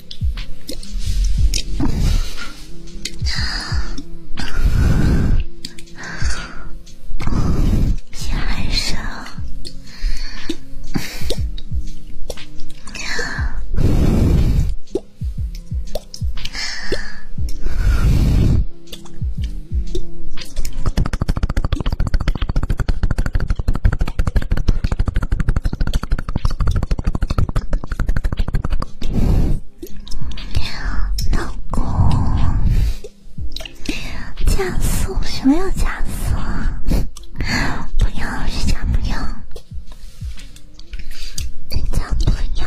先生。老公，加速什么要加速？不要，是家不要，人家不要，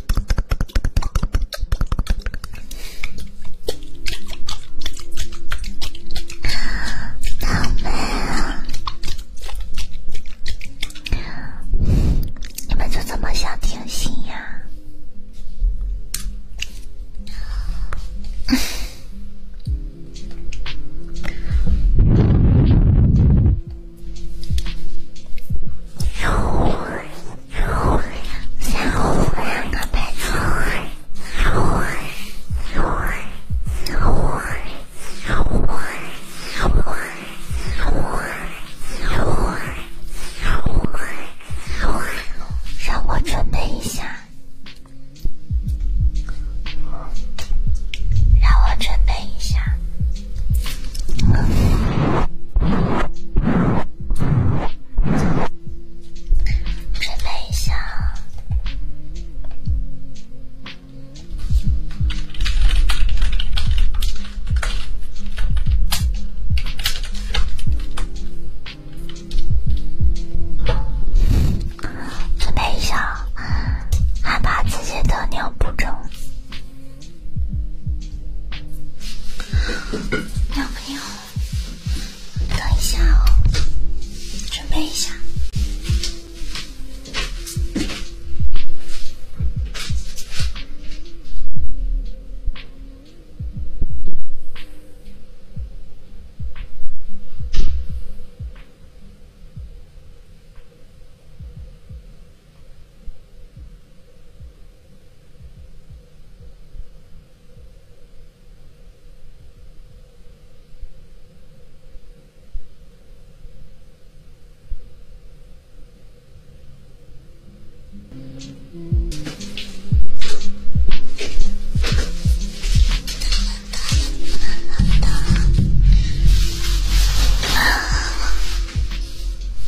好美啊！你们就这么想听心呀？哟！让我准备一下，让我准备一下。准备一下。准备一下，害怕自己得尿不正。要不要？等一下哦，准备一下。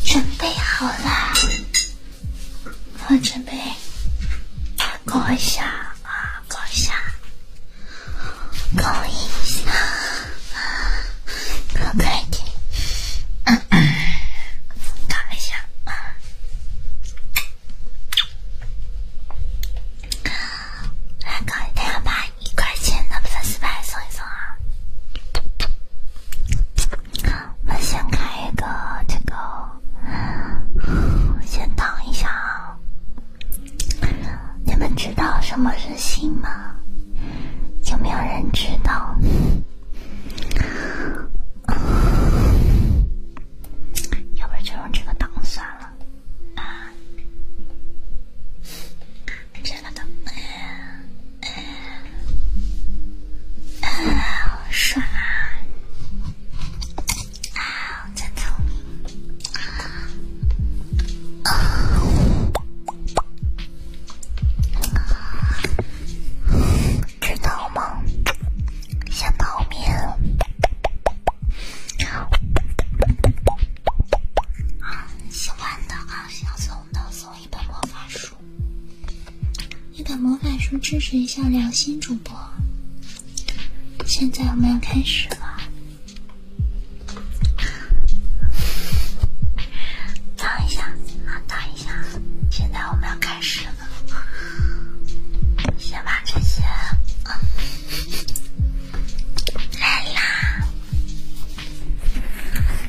准备好了。我准备搞一下啊，搞一下，搞一下，搞快点，搞一下啊！来搞一两百，一块钱的粉丝牌送一送啊！我们先开一个这个，先挡一下啊！你们知道什么是心吗？有没有人知道？要不然就用这个挡算了啊！这个挡。嗯，好知道吗？小猫咪，喜欢的啊，想送的送。一本魔法书，一本魔法书支持一下良心主播。现在我们要开始了，等一下啊，等一下，现在我们要开始了，先把这些来啦。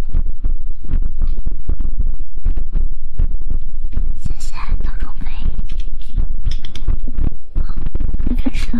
谢谢，陶中飞。好，开始喽。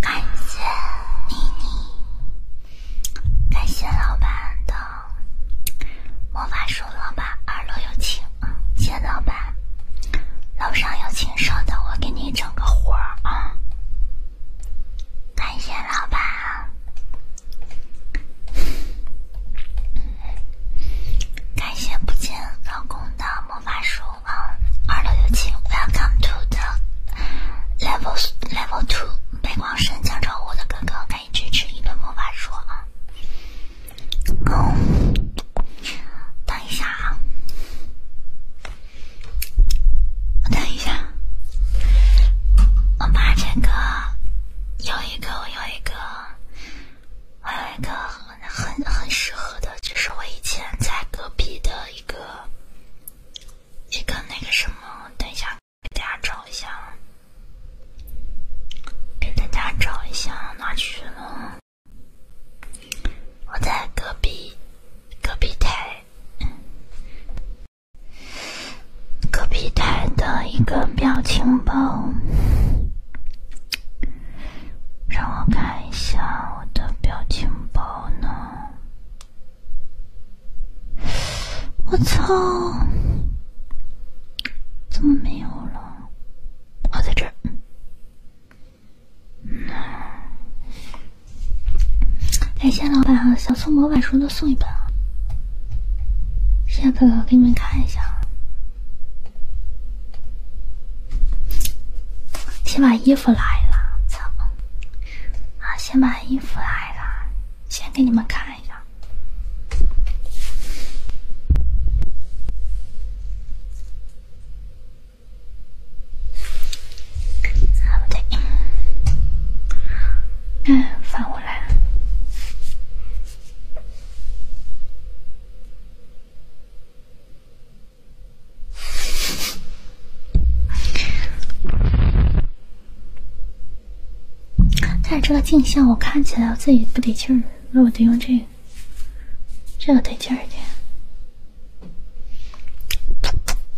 感谢妮妮，感谢老板的魔法书，老板二楼有请，谢谢老板，楼上有请，稍等，我给你整个活啊，感谢老板，感谢不见老公的魔法书。啊，二楼有请，Welcome to the levels level two。背光声，江朝我的哥哥，可以支持一顿魔法书啊。等一下啊，等一下，我把这个有一个，我有一个，我有一个。很很适合的，就是我以前在隔壁的一个一个那个什么，等一下，给大家找一下，给大家找一下哪去了？我在隔壁隔壁台，隔壁台的一个表情包。让我看一下我的表情包呢，我操，怎么没有了？我在这儿，那，哎，谢老板啊，想送模板书的送一本啊，谢谢哥哥，给你们看一下。先把衣服来了，操！啊，先把衣服来了，先给你们看一下。不对，嗯，翻过来。但是这个镜像我看起来我自己不得劲儿，那我得用这个，这个得劲儿点。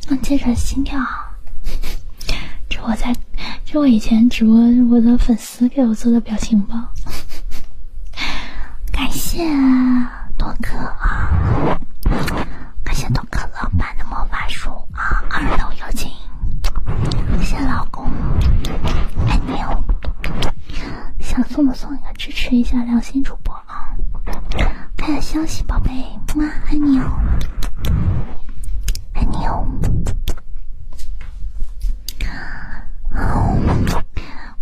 那接着心跳，这我在这我以前直播我的粉丝给我做的表情包，感谢。多可啊！感谢多爱老板的魔法书啊，二楼有请，谢谢老公，爱你哦。想送的送一个，支持一下良心主播啊！看下消息，宝贝，妈爱你哦，爱你哦。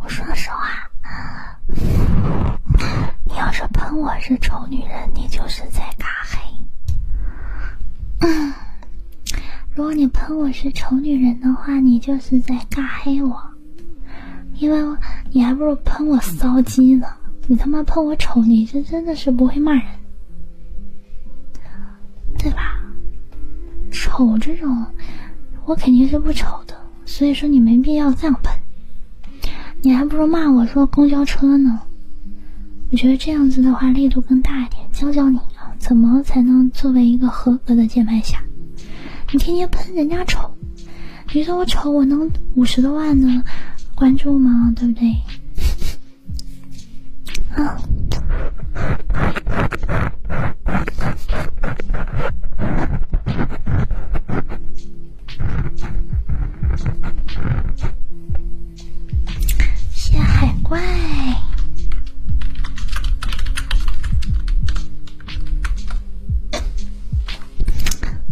我说实话，你要是喷我是丑女人，你就是在尬黑。如果你喷我是丑女人的话，你就是在尬黑我，因为，你还不如喷我骚鸡呢。你他妈喷我丑，你这真的是不会骂人，对吧？丑这种，我肯定是不丑的。所以说你没必要这样喷，你还不如骂我说公交车呢。我觉得这样子的话力度更大一点，教教你啊，怎么才能作为一个合格的键盘侠？你天天喷人家丑，你说我丑我能五十多万的关注吗？对不对？啊！谢海怪，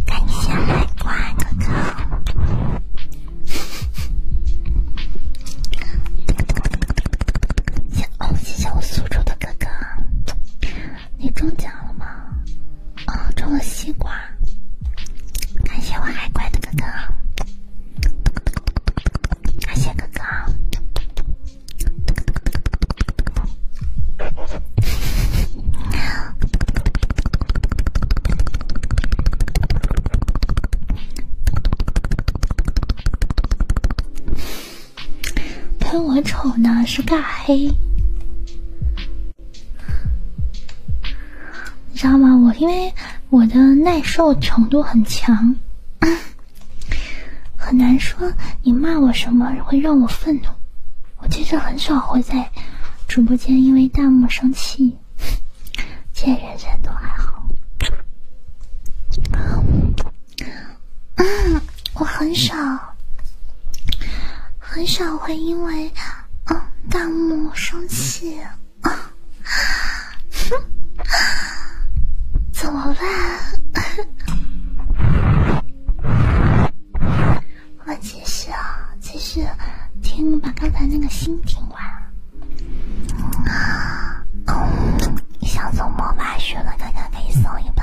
感谢海怪哥哥，谢哦，谢谢我苏州的哥哥。你中奖了吗？哦，中了西瓜，感谢我海怪的哥哥，感谢哥哥。喷我丑呢是尬黑，你知道吗？我因为我的耐受程度很强，很难说你骂我什么会让我愤怒。我其实很少会在直播间因为弹幕生气，见人都还好。嗯，我很少，很少会因为嗯弹幕生气，怎么办？我继续啊，继续听，把刚才那个心听完啊。嗯，想送魔法学了，刚刚可以送一把。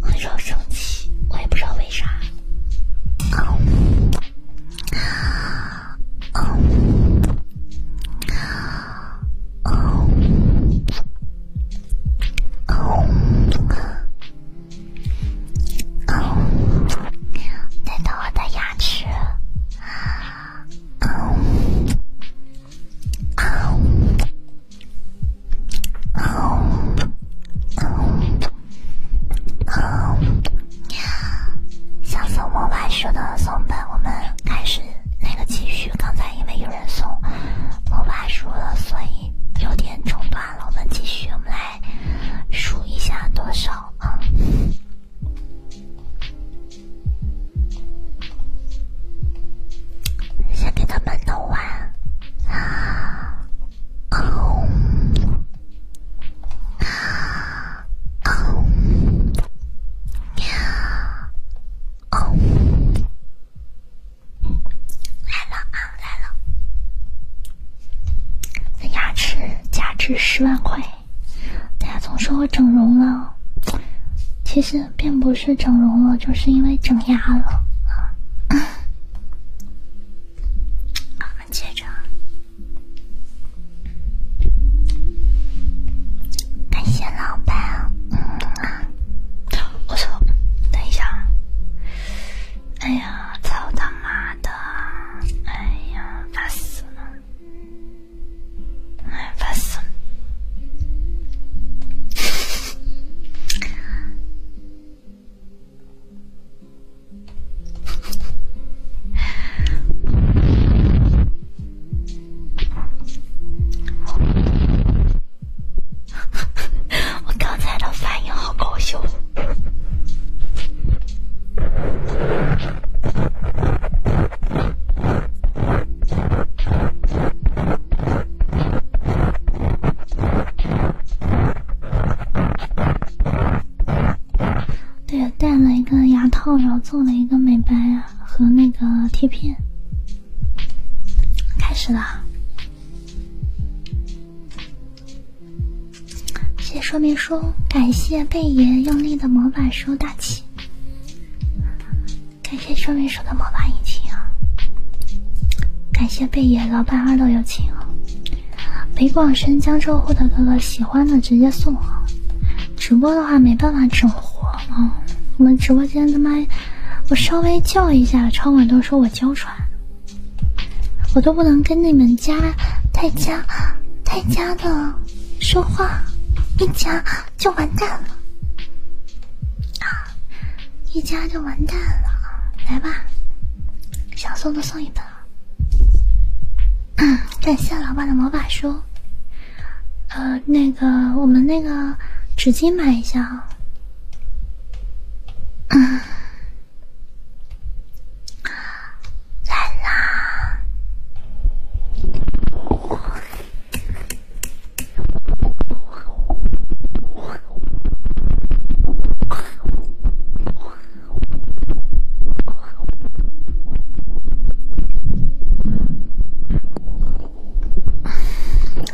很少生气，我也不知道为啥。嗯嗯嗯嗯嗯，难道我的牙齿啊？啊啊啊啊！嗯，想送魔法书的送本，我们开始那个继续。刚才因为有人送魔法书了，所以有点中断了。我们继续，我们来数一下多少啊？先给他们弄完啊！哦，啊，哦，喵，哦，来了啊，来了！那牙齿价值十万块，大家总说我整容了，其实。并不是整容了，就是因为整牙了。我们接着，感谢老板，我哎呀，操他妈的，哎呀，烦死了。哎，烦死了！我刚才的反应好搞笑。对，戴了一个牙套，然后做了一个美白和那个贴片，开始了。谢说明书，感谢贝爷用力的魔法书大气。感谢桌面手的魔法引擎啊！感谢贝爷老板二的友情啊！北广深江浙沪的哥哥喜欢的直接送啊！直播的话没办法整活啊，我们直播间的麦我稍微叫一下，超管都说我娇喘，我都不能跟你们家太家太家的说话，一家就完蛋了啊！一家就完蛋了，来吧，想送的送一本。感谢老板的魔法书，呃，那个我们那个纸巾买一下。啊。嗯，来啦。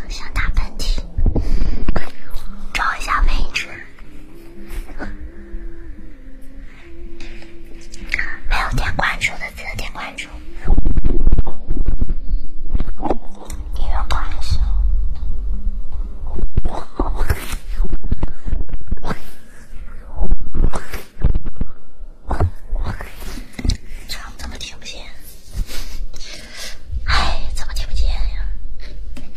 想打喷嚏，找一下位置。没有点关注的。记得点关注，音乐关上。唱怎么听不见？哎，怎么听不见呀？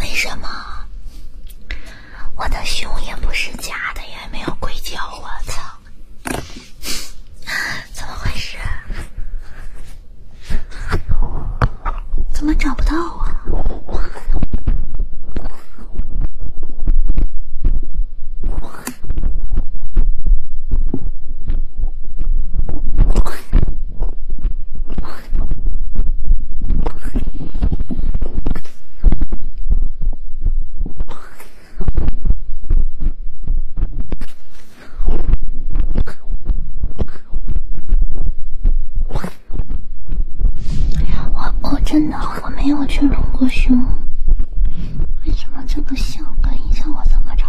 为什么我的胸也不是假的，也没有硅胶，我操！怎么回事？怎么找不到啊？我我真的我没有去隆过胸，为什么这个性感一下我这么长？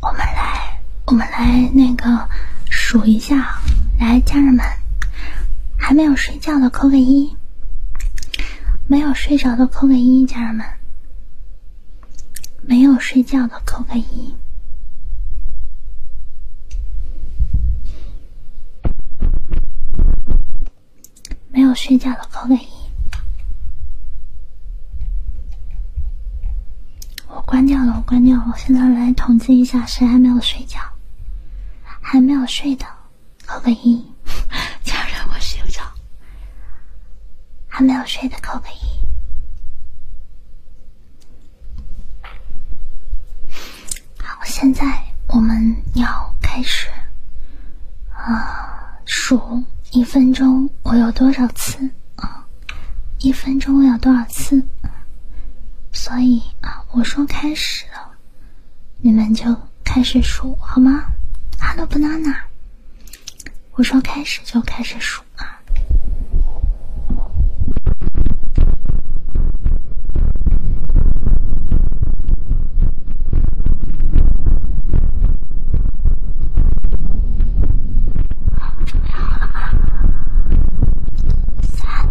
我们来，我们来那个数一下，来，家人们，还没有睡。睡觉的扣个一，没有睡着的扣个一，家人们，没有睡觉的扣个一，没有睡觉的扣个一。我关掉了，我关掉了。我现在来统计一下，谁还没有睡觉？还没有睡的。扣个一，家 人我睡着，还没有睡的扣个一。好，现在我们要开始啊，数一分钟我有多少次啊？一分钟我有多少次？所以啊，我说开始了。你们就开始数好吗？Hello banana，我说开始就开始数啊。准备好了吗？三。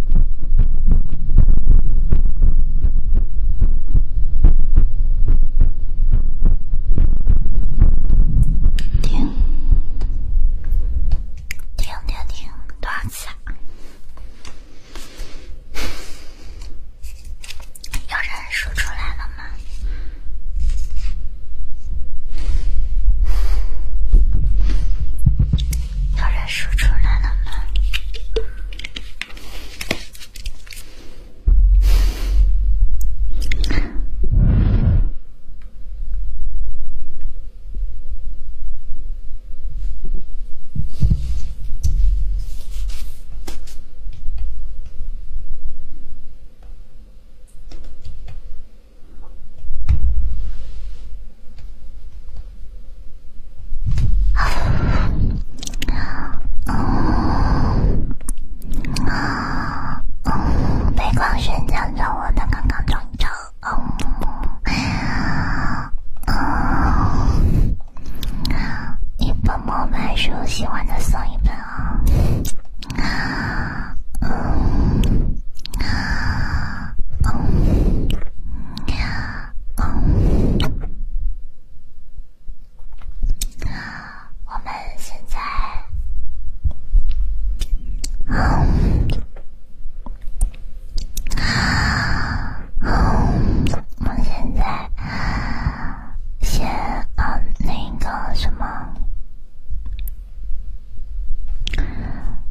听，听，听，听，多少次？有人说出来了吗？有人数出来了吗？啊，嗯，啊，嗯，被光神拯救我的刚刚中招，嗯，啊，一本模板书，喜欢的送一本啊。我们现在，嗯，啊，现在先，那个什么。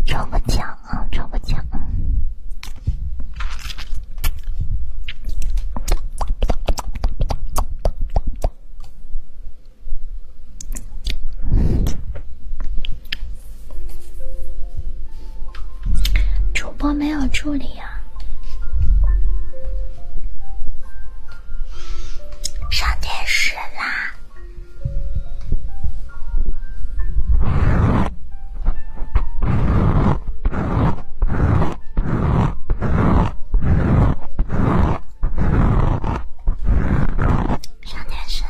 抽个奖，啊，抽个奖。主播没有助理啊。上电视啦！上电视了。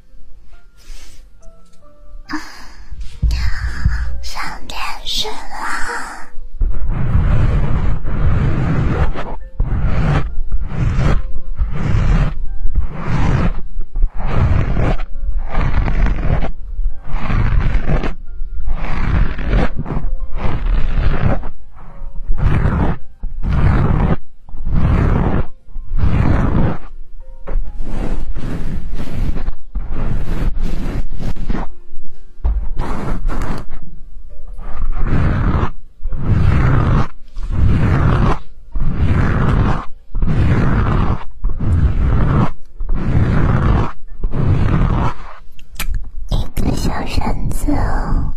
要上电视了。一个小绳子哦。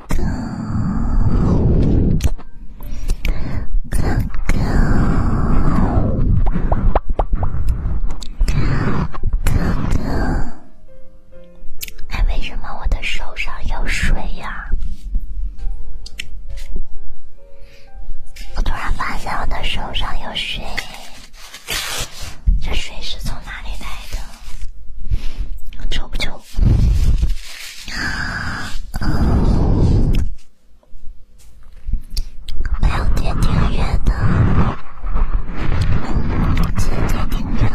哥哥，哥哥，哥哥，哎，为什么我的手上有水呀？我突然发现我的手上有水，这水是从哪里来的？臭不臭？我要点订阅的，姐姐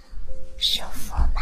舒服吗？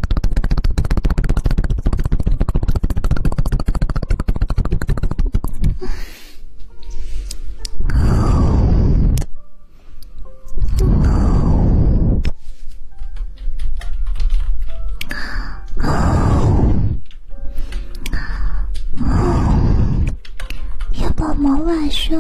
哦哦哦要不某晚上？